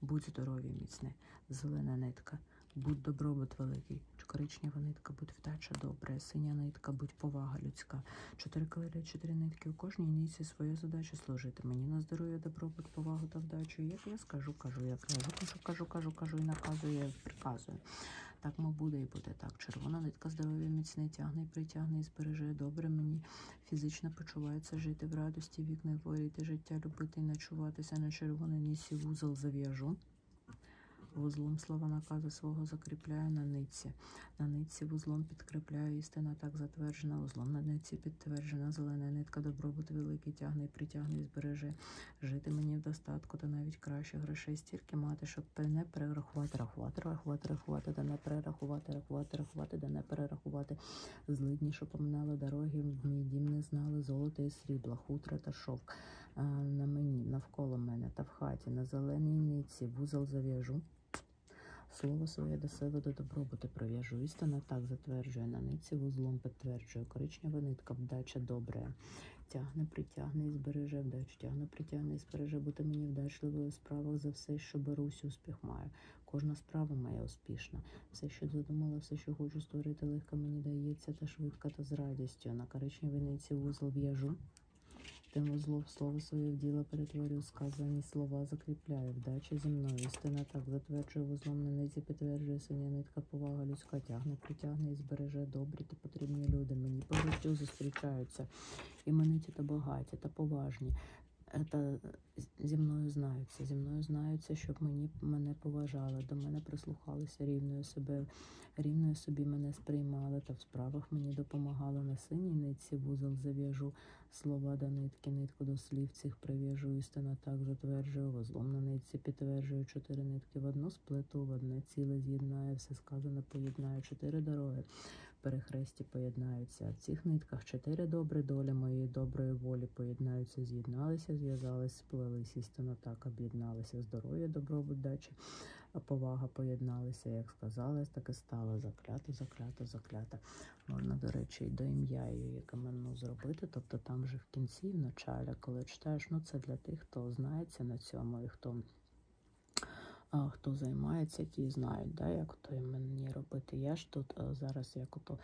Будь здоров'я міцне, зелена нитка, будь добробут великий, коричнева нитка, будь вдача добра, синя нитка, будь повага людська. Чотири калері, чотири нитки. У кожній нитці свою задачу служити. Мені на здоров'я, добробут, повагу та вдачу. Як я скажу, кажу, як я кажу, кажу, кажу, кажу і наказую, я приказую. Так, мо буде і буде так. Червона нитка здоров'я міцне, тягне, і притягне і збереже добре мені фізично почувається жити в радості, вік не хворіти, життя, любити і начуватися на червоний нісі вузол зав'яжу. Вузлом слова наказу свого закріпляю на ниці. На ниці вузлом підкріпляю істина, так затверджена, вузлом на ниці підтверджена, зелена нитка, добробут великий, тягне, притягне і збереже. Жити мені в достатку, та навіть краще грошей стільки мати, щоб не перерахувати рахувати, рахувати, рахувати, рахувати, да не перерахувати, рахувати, рахувати, да не перерахувати. Злидні, що поминали дороги, в мій дім не знали, золото і срібла, хутра та шовк. На мені, навколо мене та в хаті, на зеленій ниці, вузол зав'яжу. Слово своє до сили до добробуту прив'яжу. Істина так затверджує на ниці, вузлом підтверджує. Коричнева нитка, вдача добре. Тягне, притягне і збереже, вдачу тягне, притягне і збереже бути мені вдачливою у справах за все, що берусь, успіх маю. Кожна справа моя успішна. Все, що задумала, все, що хочу створити, легко мені дається, та швидко, та з радістю. На коричневій ниці вузол в'яжу. Тему зло в слово своє в діло перетворю, сказані слова закріпляю. Вдача зі мною. Істина так затверджує вузлом на низі, підтверджує синя нитка, повага людська тягне, притягне і збереже добрі та потрібні люди. Мені по життю зустрічаються. Імениті та багаті, та поважні, та зі мною знаються, зі мною знаються, щоб мені мене поважали, до мене прислухалися рівною себе, рівною собі мене сприймали та в справах мені допомагали на синій нитці вузол зав'яжу слова до нитки, нитку до слів цих прив'яжу, істина так затверджую, вузлом на нитці підтверджую чотири нитки в одну сплету, в одне ціле з'єднаю, все сказане поєднаю, чотири дороги перехресті поєднаються. В цих нитках чотири добрі долі моєї доброї волі поєднаються, з'єдналися, зв'язались, сплелись, істинно так об'єдналися. Здоров'я, добробут, дачі, повага поєдналися, як сказалось, так і стало. Заклято, заклято, заклято. Можна, до речі, і до ім'я її каменну зробити. Тобто там же в кінці, в началі, коли читаєш, ну це для тих, хто знається на цьому і хто. Хто займається, ті знають, да, як то мені робити. Я ж тут е, зараз як ото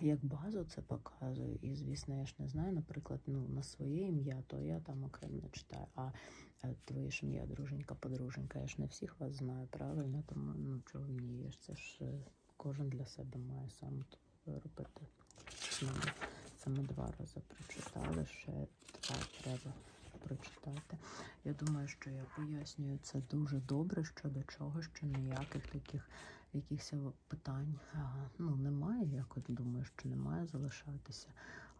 як базу це показую. І, звісно, я ж не знаю, наприклад, ну, на своє ім'я, то я там окремо не читаю. А е, твоє ж ім'я, друженька, подруженька, я ж не всіх вас знаю, правильно, тому ну, чого мені є ж це ж е, кожен для себе має сам робити. Саме два рази прочитали ще тепер треба прочитати. Я думаю, що я пояснюю це дуже добре щодо чого, що ніяких таких якихось питань ну, немає. Я от думаю, що немає залишатися.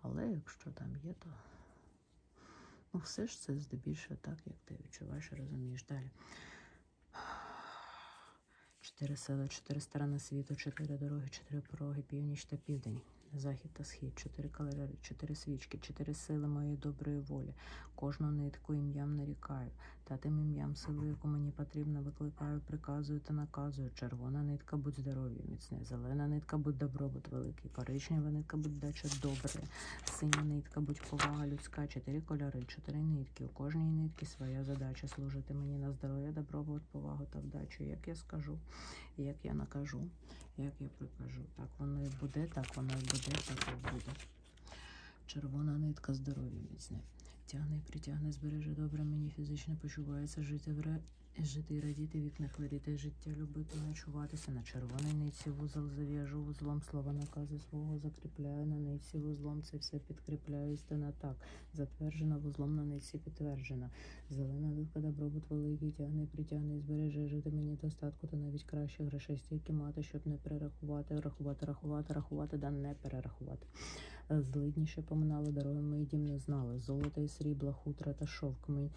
Але якщо там є, то ну, все ж це здебільшого так, як ти відчуваєш і розумієш далі. Чотири села, чотири сторони світу, чотири дороги, чотири пороги, північ та південь. Захід та схід, чотири калери, чотири свічки, чотири сили моєї доброї волі, кожну нитку ім'ям нарікаю, та тим ім'ям сили, яку мені потрібно, викликаю, приказую та наказую. Червона нитка, будь здоров'я, міцне, зелена нитка, будь добробут великий, коричнева нитка, будь дача добре, синя нитка, будь повага людська, чотири кольори, чотири нитки. У кожній нитки своя задача служити мені на здоров'я, добробут, повагу та вдачу, як я скажу, як я накажу покажу, як я прикажу. Так воно і буде, так воно і буде, так і буде. Червона нитка здоров'я міцне. Тягне, притягне, збереже добре, мені фізично почувається жити в ре... жити і радіти, вік не хворіти, життя любити, ночуватися. На червоній ниці вузол зав'яжу вузлом, слова наказу свого закріпляю на ниці вузлом. Це все підкріпляю істина так. Затверджена вузлом на ниці підтверджена. Зелена нитка добробут великий, тягне, притягне і збереже жити мені достатку, та навіть краще грошей стільки мати, щоб не перерахувати, рахувати, рахувати, рахувати, да не перерахувати. Злидніше поминали дороги мої дім не знали. Золото і срібла, хутра та шовк ми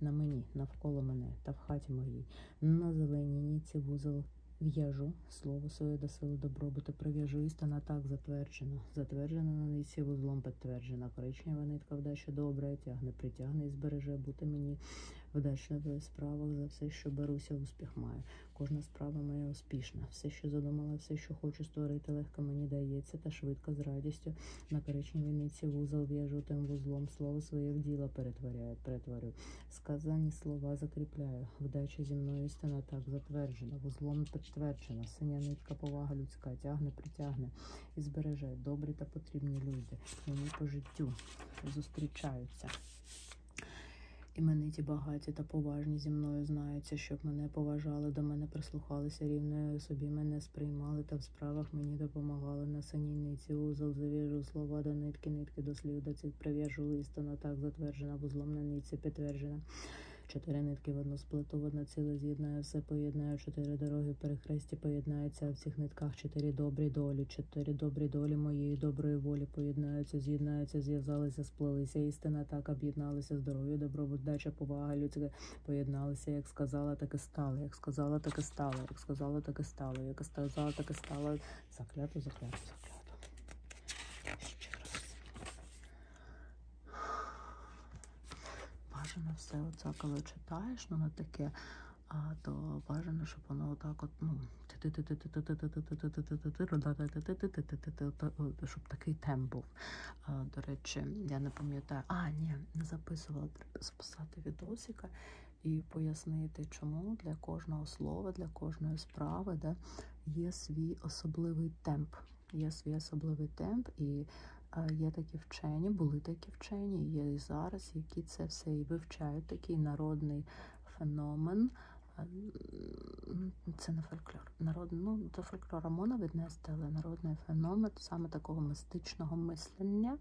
на мені, навколо мене та в хаті моїй. На зеленій ніці вузол в'яжу слово своє до сили добробуту прив'яжу істина так затверджена. Затверджена на ниці вузлом підтверджена. Коричнева нитка вдача добре забере, тягне, притягне і збереже, бути мені вдачна в справах за все, що беруся, успіх маю. Кожна справа моя успішна. Все, що задумала, все, що хочу створити, легко мені дається, та швидко з радістю на коричневій ниці вузол в'яжу тим вузлом. Слово своє в діло перетворяю, перетворю. Сказані слова закріпляю. Вдача зі мною істина так затверджена, вузлом підтверджена. Синя нитка, повага людська, тягне, притягне і збережуть добрі та потрібні люди. Вони по життю зустрічаються. Імениті багаті та поважні зі мною знаються, щоб мене поважали, до мене прислухалися рівною собі, мене сприймали та в справах мені допомагали на саніниці. Узол завіжу слова до нитки, нитки до слів до цих прив'яжу істина, так затверджена, вузлом на нитці підтверджена. Чотири нитки в одну сплету, в одне ціле з'єднаю, все поєднаю, чотири дороги перехрестю хресті поєднаються в цих нитках чотири добрі долі, чотири добрі долі моєї доброї волі поєднаються, з'єднаються, зв'язалися, сплелися. Істина так об'єдналися, здоров'я, добробут, дача, повага, людська поєдналися. Як сказала, так і стало. Як сказала, так і стало. Як сказала, так і стало. Як сказала, так і стало. Заклято, заклято, заклято. Ще раз. Бажано все оце, коли читаєш, ну не таке, а то бажано, щоб воно отак от, ну, щоб такий темп був. До речі, я не пам'ятаю, а, ні, не записувала, треба записати відосика і пояснити, чому для кожного слова, для кожної справи да, є свій особливий темп. Є свій особливий темп. і Є такі вчені, були такі вчені, є і зараз, які це все і вивчають такий народний феномен. Це не фольклор. Народ, ну, До фольклора можна віднести, але народний феномен саме такого мистичного мислення.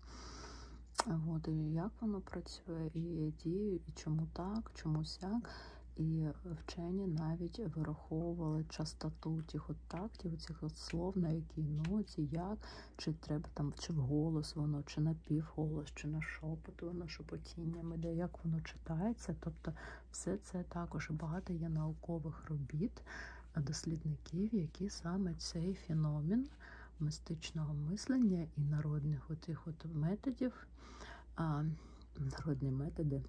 От, і Як воно працює, і діє, і чому так, чому сяк. І вчені навіть вираховували частоту тих от контактів, у цих от слов, на якій ноті, як, чи треба там, чи вголос воно, чи на півголос, чи на шепот, воно шепотіннями, де як воно читається. Тобто все це також багато є наукових робіт е, дослідників, які саме цей феномен мистичного мислення і народних отих от методів, а, народні методи,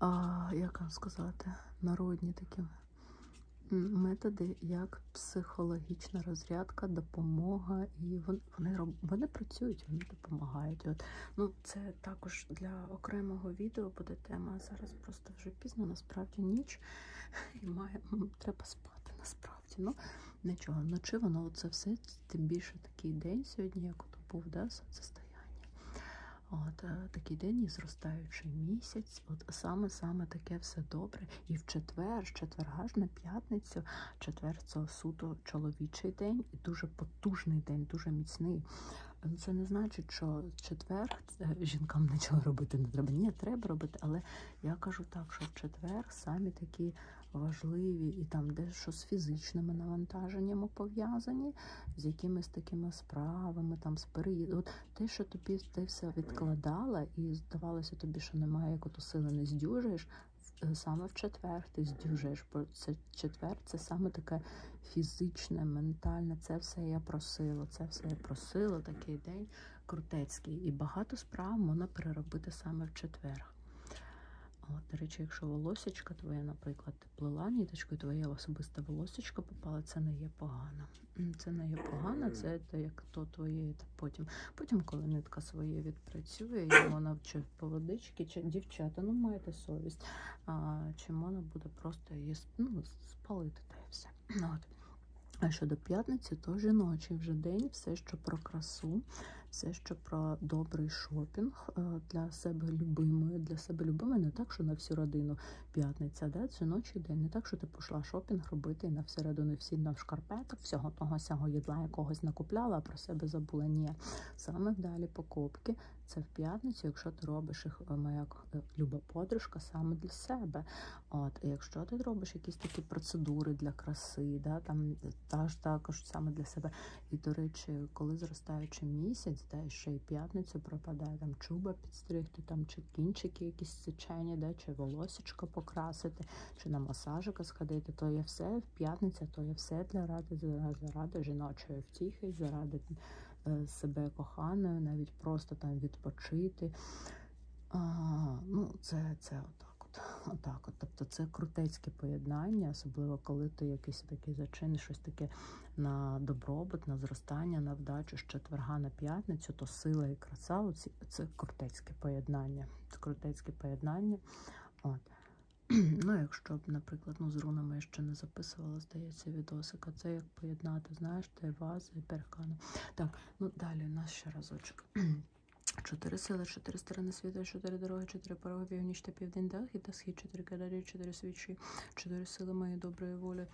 а, як вам сказати, народні такі методи, як психологічна розрядка, допомога, і вони вони, вони працюють, вони допомагають. От. Ну, Це також для окремого відео буде тема. Зараз просто вже пізно, насправді ніч і має, треба спати насправді. Ну, Нічого, вночі воно це все, тим більше такий день сьогодні, як то був, да, сонцестояння. От е, Такий день і зростаючий місяць, от саме-саме таке все добре. І в четвер, з четверга ж на п'ятницю, четвер це суто чоловічий день, і дуже потужний день, дуже міцний. Ем, це не значить, що четвер е, жінкам нічого робити не треба. Ні, треба робити, але я кажу так, що в четвер самі такі важливі і там дещо з фізичними навантаженнями пов'язані, з якимись такими справами, там з переїзду. От те, що тобі ти все відкладала, і здавалося тобі, що немає, як оту сили не здюжуєш. Е, саме в четвер ти здюжуєш, бо це четвер це саме таке фізичне, ментальне. Це все я просила, це все я просила, такий день крутецький. І багато справ можна переробити саме в четвер. От, До речі, якщо волосічка твоя, наприклад яка ти плела ніточкою, твоя особиста волосочка попала, це не є погано. Це не є погано, це те, як то твоє. Потім, потім коли нитка своє відпрацює, і вона чи поводички, чи дівчата, ну маєте совість, а, чи вона буде просто її ну, спалити та і все. Ну, от. А щодо п'ятниці, то жіночий вже день, все, що про красу, все, що про добрий шопінг е, для себе любимої, для себе любимої, не так, що на всю родину, п'ятниця, да? це ночі день. Не так, що ти пішла шопінг робити і на всередину всі на шкарпеток, всього того сього їдла якогось накупляла, а про себе забула. Ні. Саме далі покупки це в п'ятницю, якщо ти робиш їх, е, моя е, люба подружка, саме для себе. От, і Якщо ти робиш якісь такі процедури для краси, да? там та ж також саме для себе. І, до речі, коли зростаючи місяць, да, і ще й п'ятницю пропадає там чуба підстригти, там чи кінчики якісь сичені, да, чи волосечко покрасити, чи на масажика сходити, то є все в п'ятниця, то є все для ради, заради жіночої втіхи, заради е, себе коханою, навіть просто там відпочити. А, Ну, це це отак. Отак, от. Тобто це крутецьке поєднання, особливо коли ти якийсь такий зачин, щось таке на добробут, на зростання зростання на вдачу з четверга на п'ятницю, то сила і краса оці, це крутецьке поєднання. Це крутецьке поєднання. От. Ну, якщо б, наприклад, ну, з рунами я ще не записувала, здається, відосика. Це як поєднати, знаєш, та вази, і перекани. Так, ну далі у нас ще разочок. Чотири сили, чотири сторони світу, чотири дороги, чотири пороги, північ та південь, дах і та схід, чотири кадарі, чотири свічі, чотири сили моєї доброї волі,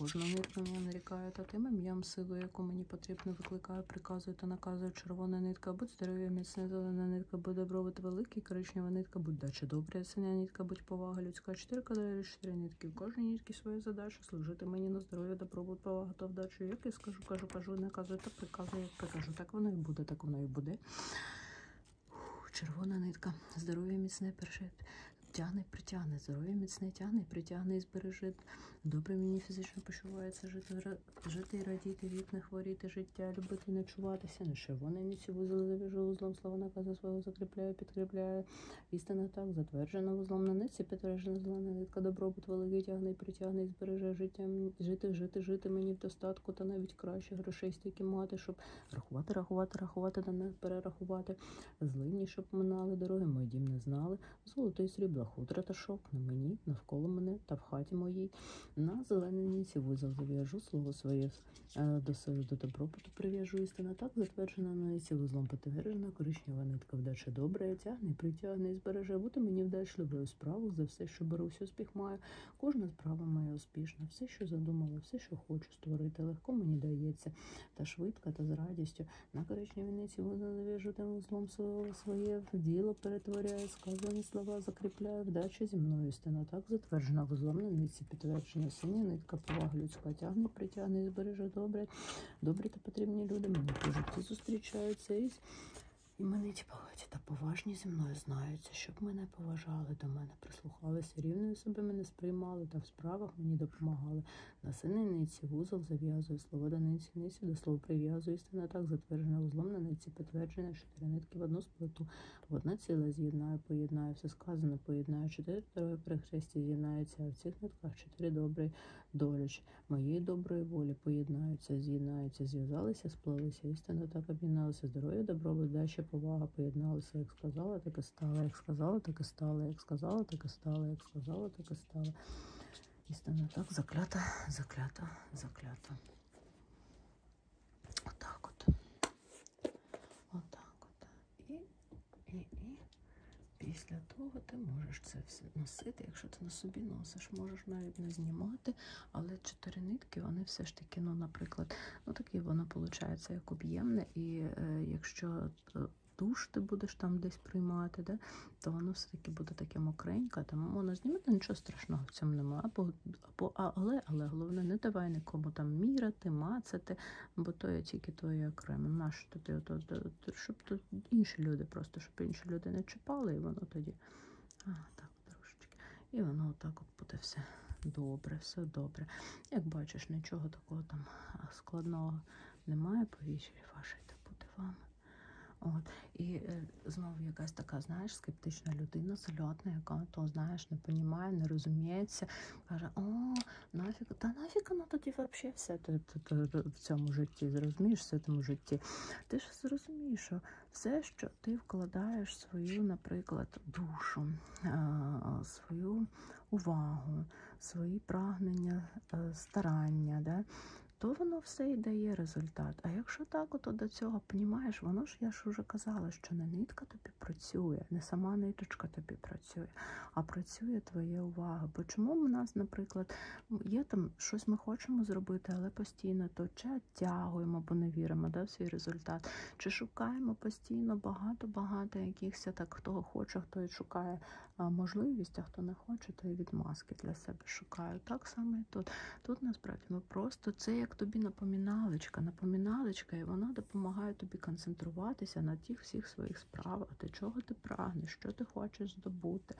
Кожного нитку я нарікаю та тим ім'ям силу, яку мені потрібно, викликаю, приказую та наказую червона нитка, будь здоров'я, міцна зелена нитка, будь добробут великий, коричнева нитка, будь дача добря, синя нитка, будь повага, людська чотири кадри, чотири нитки. В кожній нитці своя задача служити мені на здоров'я, добробут, повага та вдачу. Як я скажу, кажу, кажу, наказую та приказую, як прикажу. Так воно і буде, так воно і буде. Червона нитка. Здоров'я міцне перше. Тягне, притягне, здоров'я міцне тягне, притягне і збереже. Добре мені фізично почувається жити, жити і радіти, від не хворіти, життя, любити, ночуватися. Не червоне ніці вузол завіжу вузлом, слова наказу свого закріпляю, підкріпляю. Істина так, затверджена вузлом на ниці, підтверджена зелена нитка, добробут великий тягне, притягне і збереже життя. Жити, жити, жити мені в достатку, та навіть краще грошей хрестики мати, щоб рахувати, рахувати, рахувати, да не перерахувати. Злині, щоб минали дороги, мої дім не знали. Золотий срібла, хутра та шовк на мені, навколо мене та в хаті моїй. На зеленій ніці вузол зав'яжу слово своє е, до себе до добробуту прив'яжу істина. Так затверджена на ніці вузлом потверджена, коричнева нитка вдача добре, тягне, притягне і збереже. Бути мені вдачливою справу за все, що берусь, успіх маю. Кожна справа має успішна. Все, що задумала, все, що хочу створити, легко мені дається, та швидко, та з радістю. На коричневій ниці вона навіжу тим вузлом своє діло перетворяє, сказані слова закріпляє, вдача зі мною істина. Так затверджена вузлом на ниці, підтвердження синя нитка, повага людська тягне, притягне і збереже добре. Добрі та потрібні люди мені по житті зустрічаються із. Імениті типу, багаті та поважні зі мною знаються, щоб мене поважали, до мене прислухалися, рівною собі мене сприймали та юридичних справах мені допомагали. На сининиці вузол зав'язує слово до ниці, до слов прив'язує істина так, затверджена узлом на ниці, підтверджена, чотири нитки в одну сплиту. В одне ціле з'єднаю, поєднаю, все сказане, поєднаю, чотири дороги перехресті з'єднаються, а в цих нитках чотири добрі доліч. Моєї доброї волі поєднаються, з'єднаються, зв'язалися, сплелися, істина так об'єдналися, здоров'я, добробут, дача, повага, поєдналися, як сказала, так і і стало. Як сказала, так і стало. Як сказала, так і стало. Як сказала, так і стало. Істина так, заклята, заклята, заклята. Отак от. Отак от. І, і, і. Після того ти можеш це все носити, якщо ти на собі носиш, можеш навіть не знімати, але чотири нитки, вони все ж таки, ну, наприклад, Ну, таке воно виходить як об'ємне, і е, якщо е, душ ти будеш там десь приймати, да, то воно все-таки буде таке мокреньке, тому воно знімати нічого страшного в цьому немає. Або, або, але, але головне, не давай нікому там міряти, мацати, бо то є тільки твоє окремо. Наш тоді, от, от, от, щоб то інші люди просто, щоб інші люди не чіпали, і воно тоді. А, так, трошечки. І воно отак от буде все добре, все добре. Як бачиш, нічого такого там складного немає, повіщі фашити буде вам. От. І е, знову якась така, знаєш, скептична людина, зальотна, яка то, знаєш, не понімає, не розуміється, каже, о, нафіг, та нафіг ну тоді взагалі все ти, ти, ти, ти, в цьому житті, зрозумієш, все в цьому житті. Ти ж зрозумієш, що все, що ти вкладаєш свою, наприклад, душу, свою свою увагу, свої прагнення, е, старання, да, то воно все і дає результат. А якщо так, то до цього понімаєш, воно ж я ж вже казала, що не нитка тобі працює, не сама ниточка тобі працює, а працює твоя увага. Бо чому в нас, наприклад, є там щось ми хочемо зробити, але постійно то чи оттягуємо, бо не віримо да, в свій результат, чи шукаємо постійно постійно багато-багато якихось так, хто хоче, хто і шукає можливість, а хто не хоче, то і відмазки для себе шукає. Так само і тут. Тут насправді ми ну, просто це як тобі напоміналечка, напоміналечка, і вона допомагає тобі концентруватися на тих всіх своїх справах, ти чого ти прагнеш, що ти хочеш здобути,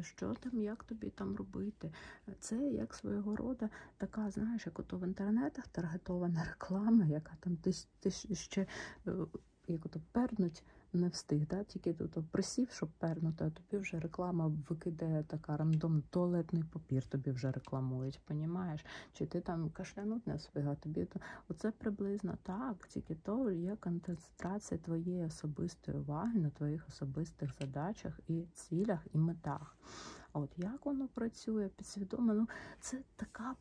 що там, як тобі там робити. Це як свого роду така, знаєш, як ото в інтернетах таргетована реклама, яка там ти, ти ще е, як ото пернуть не встиг, да? тільки ото присів, щоб пернути, а тобі вже реклама викидає така рандом туалетний папір, тобі вже рекламують, понімаєш? Чи ти там кашлянуть не встиг, а тобі то оце приблизно так, тільки то є концентрація твоєї особистої уваги на твоїх особистих задачах і цілях і метах руках. От як воно працює підсвідомо, ну це така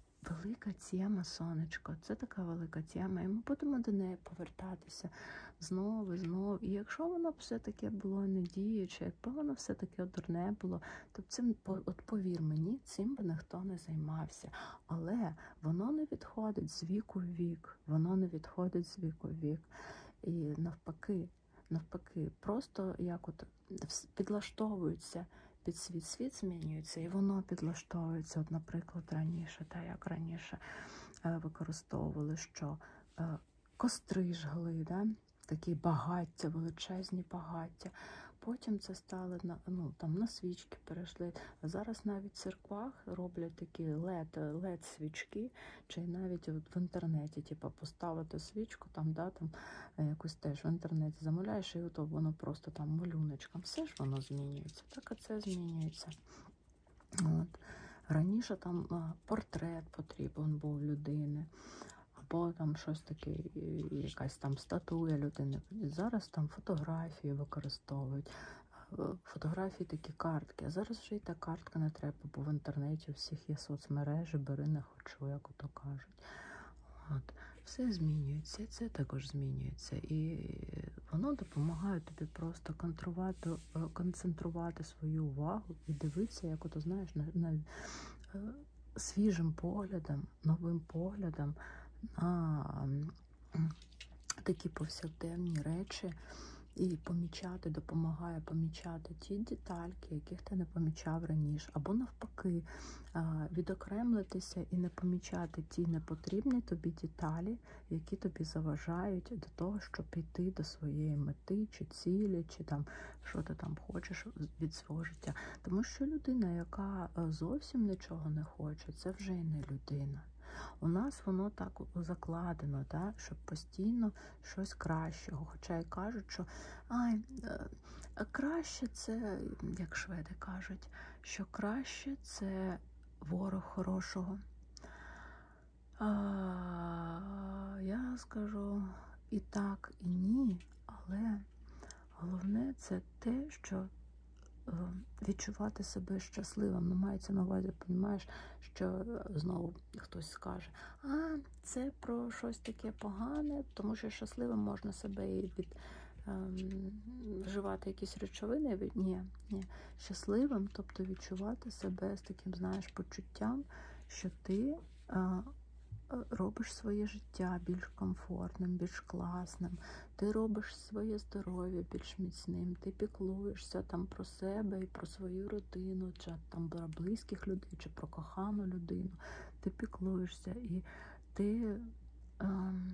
велика тема, сонечко, це така велика тема, і ми будемо до неї повертатися знову і знову. І якщо воно все-таки було недіюче, якби воно все-таки дурне було, то цим от повір мені, цим би ніхто не займався. Але воно не відходить з віку в вік, воно не відходить з віку в вік. І навпаки, навпаки, просто як от підлаштовуються під світ, світ змінюється, і воно підлаштовується. От, наприклад, раніше, та як раніше е, використовували, що е, костри жгли, да? такі багаття, величезні багаття. Потім це стали на ну там на свічки перейшли. Зараз навіть в церквах роблять такі led, led свічки, чи навіть от в інтернеті, типу, поставити свічку, там, да, там е, якусь теж в інтернеті замовляєш, і ото воно просто там малюночком. Все ж воно змінюється. Так і це змінюється. От. Раніше там портрет потрібен був людини, або там щось таке, якась там статуя людини. Зараз там фотографії використовують. Е, фотографії такі картки. А зараз вже і та картка не треба, бо в інтернеті у всіх є соцмережі, бери не хочу, як ото кажуть пишуть. От. Все змінюється, це також змінюється. І е, воно допомагає тобі просто контрувати, е, концентрувати свою увагу і дивитися, як ото знаєш, на, на е, свіжим поглядом, новим поглядом на такі повсякденні речі. І помічати, допомагає помічати ті детальки, яких ти не помічав раніше, або навпаки, відокремлитися і не помічати ті непотрібні тобі деталі, які тобі заважають до того, щоб піти до своєї мети, чи цілі, чи там що ти там хочеш від свого життя. Тому що людина, яка е, зовсім нічого не хоче, це вже й не людина. У нас воно так закладено, да, щоб постійно щось кращого. Хоча й кажуть, що ай, е, Краще це, як шведи кажуть, що краще це ворог хорошого. А, Я скажу і так, і ні, але головне це те, що е, відчувати себе щасливим. Не ну, мається на увазі, розумієш, що е, знову хтось скаже, а це про щось таке погане, тому що щасливим можна себе і від. Ем, вживати якісь речовини, ні, ні, щасливим, тобто відчувати себе з таким, знаєш, почуттям, що ти а, е, робиш своє життя більш комфортним, більш класним, ти робиш своє здоров'я більш міцним, ти піклуєшся там про себе і про свою родину, чи там про близьких людей, чи про кохану людину, ти піклуєшся дивишся, і ти ем,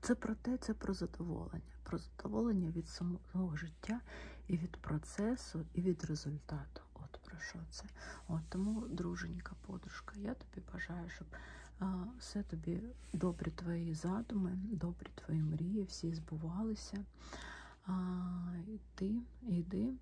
це про те, це про задоволення, про задоволення від самого життя, і від процесу, і від результату. От про що це? От Тому, друженька, подружка, я тобі бажаю, щоб е, все тобі добрі твої задуми, добрі твої мрії, всі збувалися йди, йди,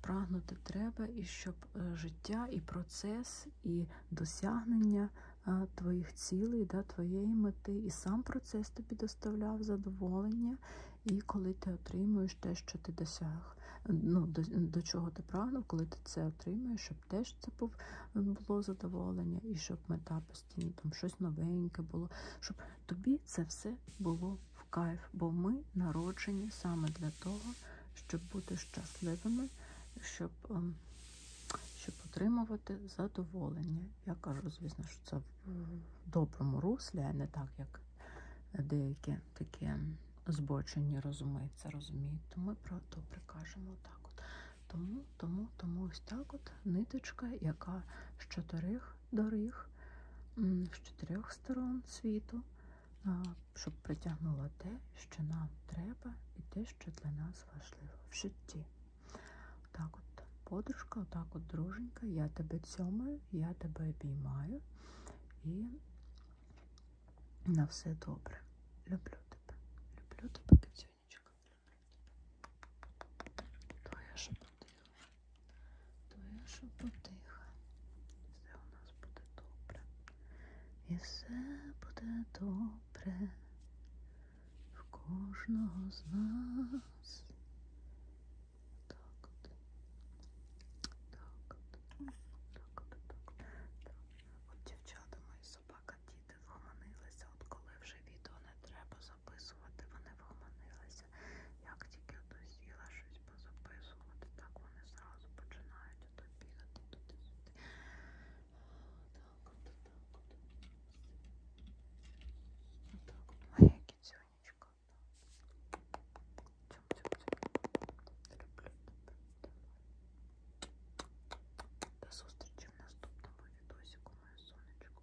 прагнути треба, і щоб е, життя, і процес, і досягнення е, твоїх цілей, да, твоєї мети, і сам процес тобі доставляв задоволення. І коли ти отримуєш те, що ти досяг, ну, до, до чого ти прагнув, коли ти це отримуєш, щоб теж це е, було задоволення, і щоб мета постійно там щось новеньке було, щоб тобі це все було нам в кайф, бо ми народжені саме для того, щоб бути щасливими, щоб ем, щоб отримувати задоволення. Я кажу, звісно, що це в доброму руслі, а не так, як деякі такі ем, збочені розуми це розуміють. То ми про добре кажемо так. от. Тому, тому, тому ось так от ниточка, яка з чотирьох доріг, з чотирьох обох сторон світу, щоб притягнуло те, що нам треба, і те, що для нас важливо в житті. Так от, подружка, отак от друженька, я тебе цьомаю, я тебе обіймаю і на все добре. Люблю тебе, люблю тебе, кицюнечка. Твоя шепоти твоя шепотиха. Все у нас буде добре. І все буде добре. В кожного з нас. Так от. Так от. Так от, так от. От дівчата мої собака, діти вгомонилися. От коли вже відео не треба записувати, вони вгомонилися. Як тільки ото сіла щось позаписувати, так вони зразу починають ото бігати туди-сюди. Так, от, так, от. Отак от моя кіцюнечка. Цьом, цьом, цьом. Люблю тебе. До зустрічі в наступному відосіку, моє сонечко.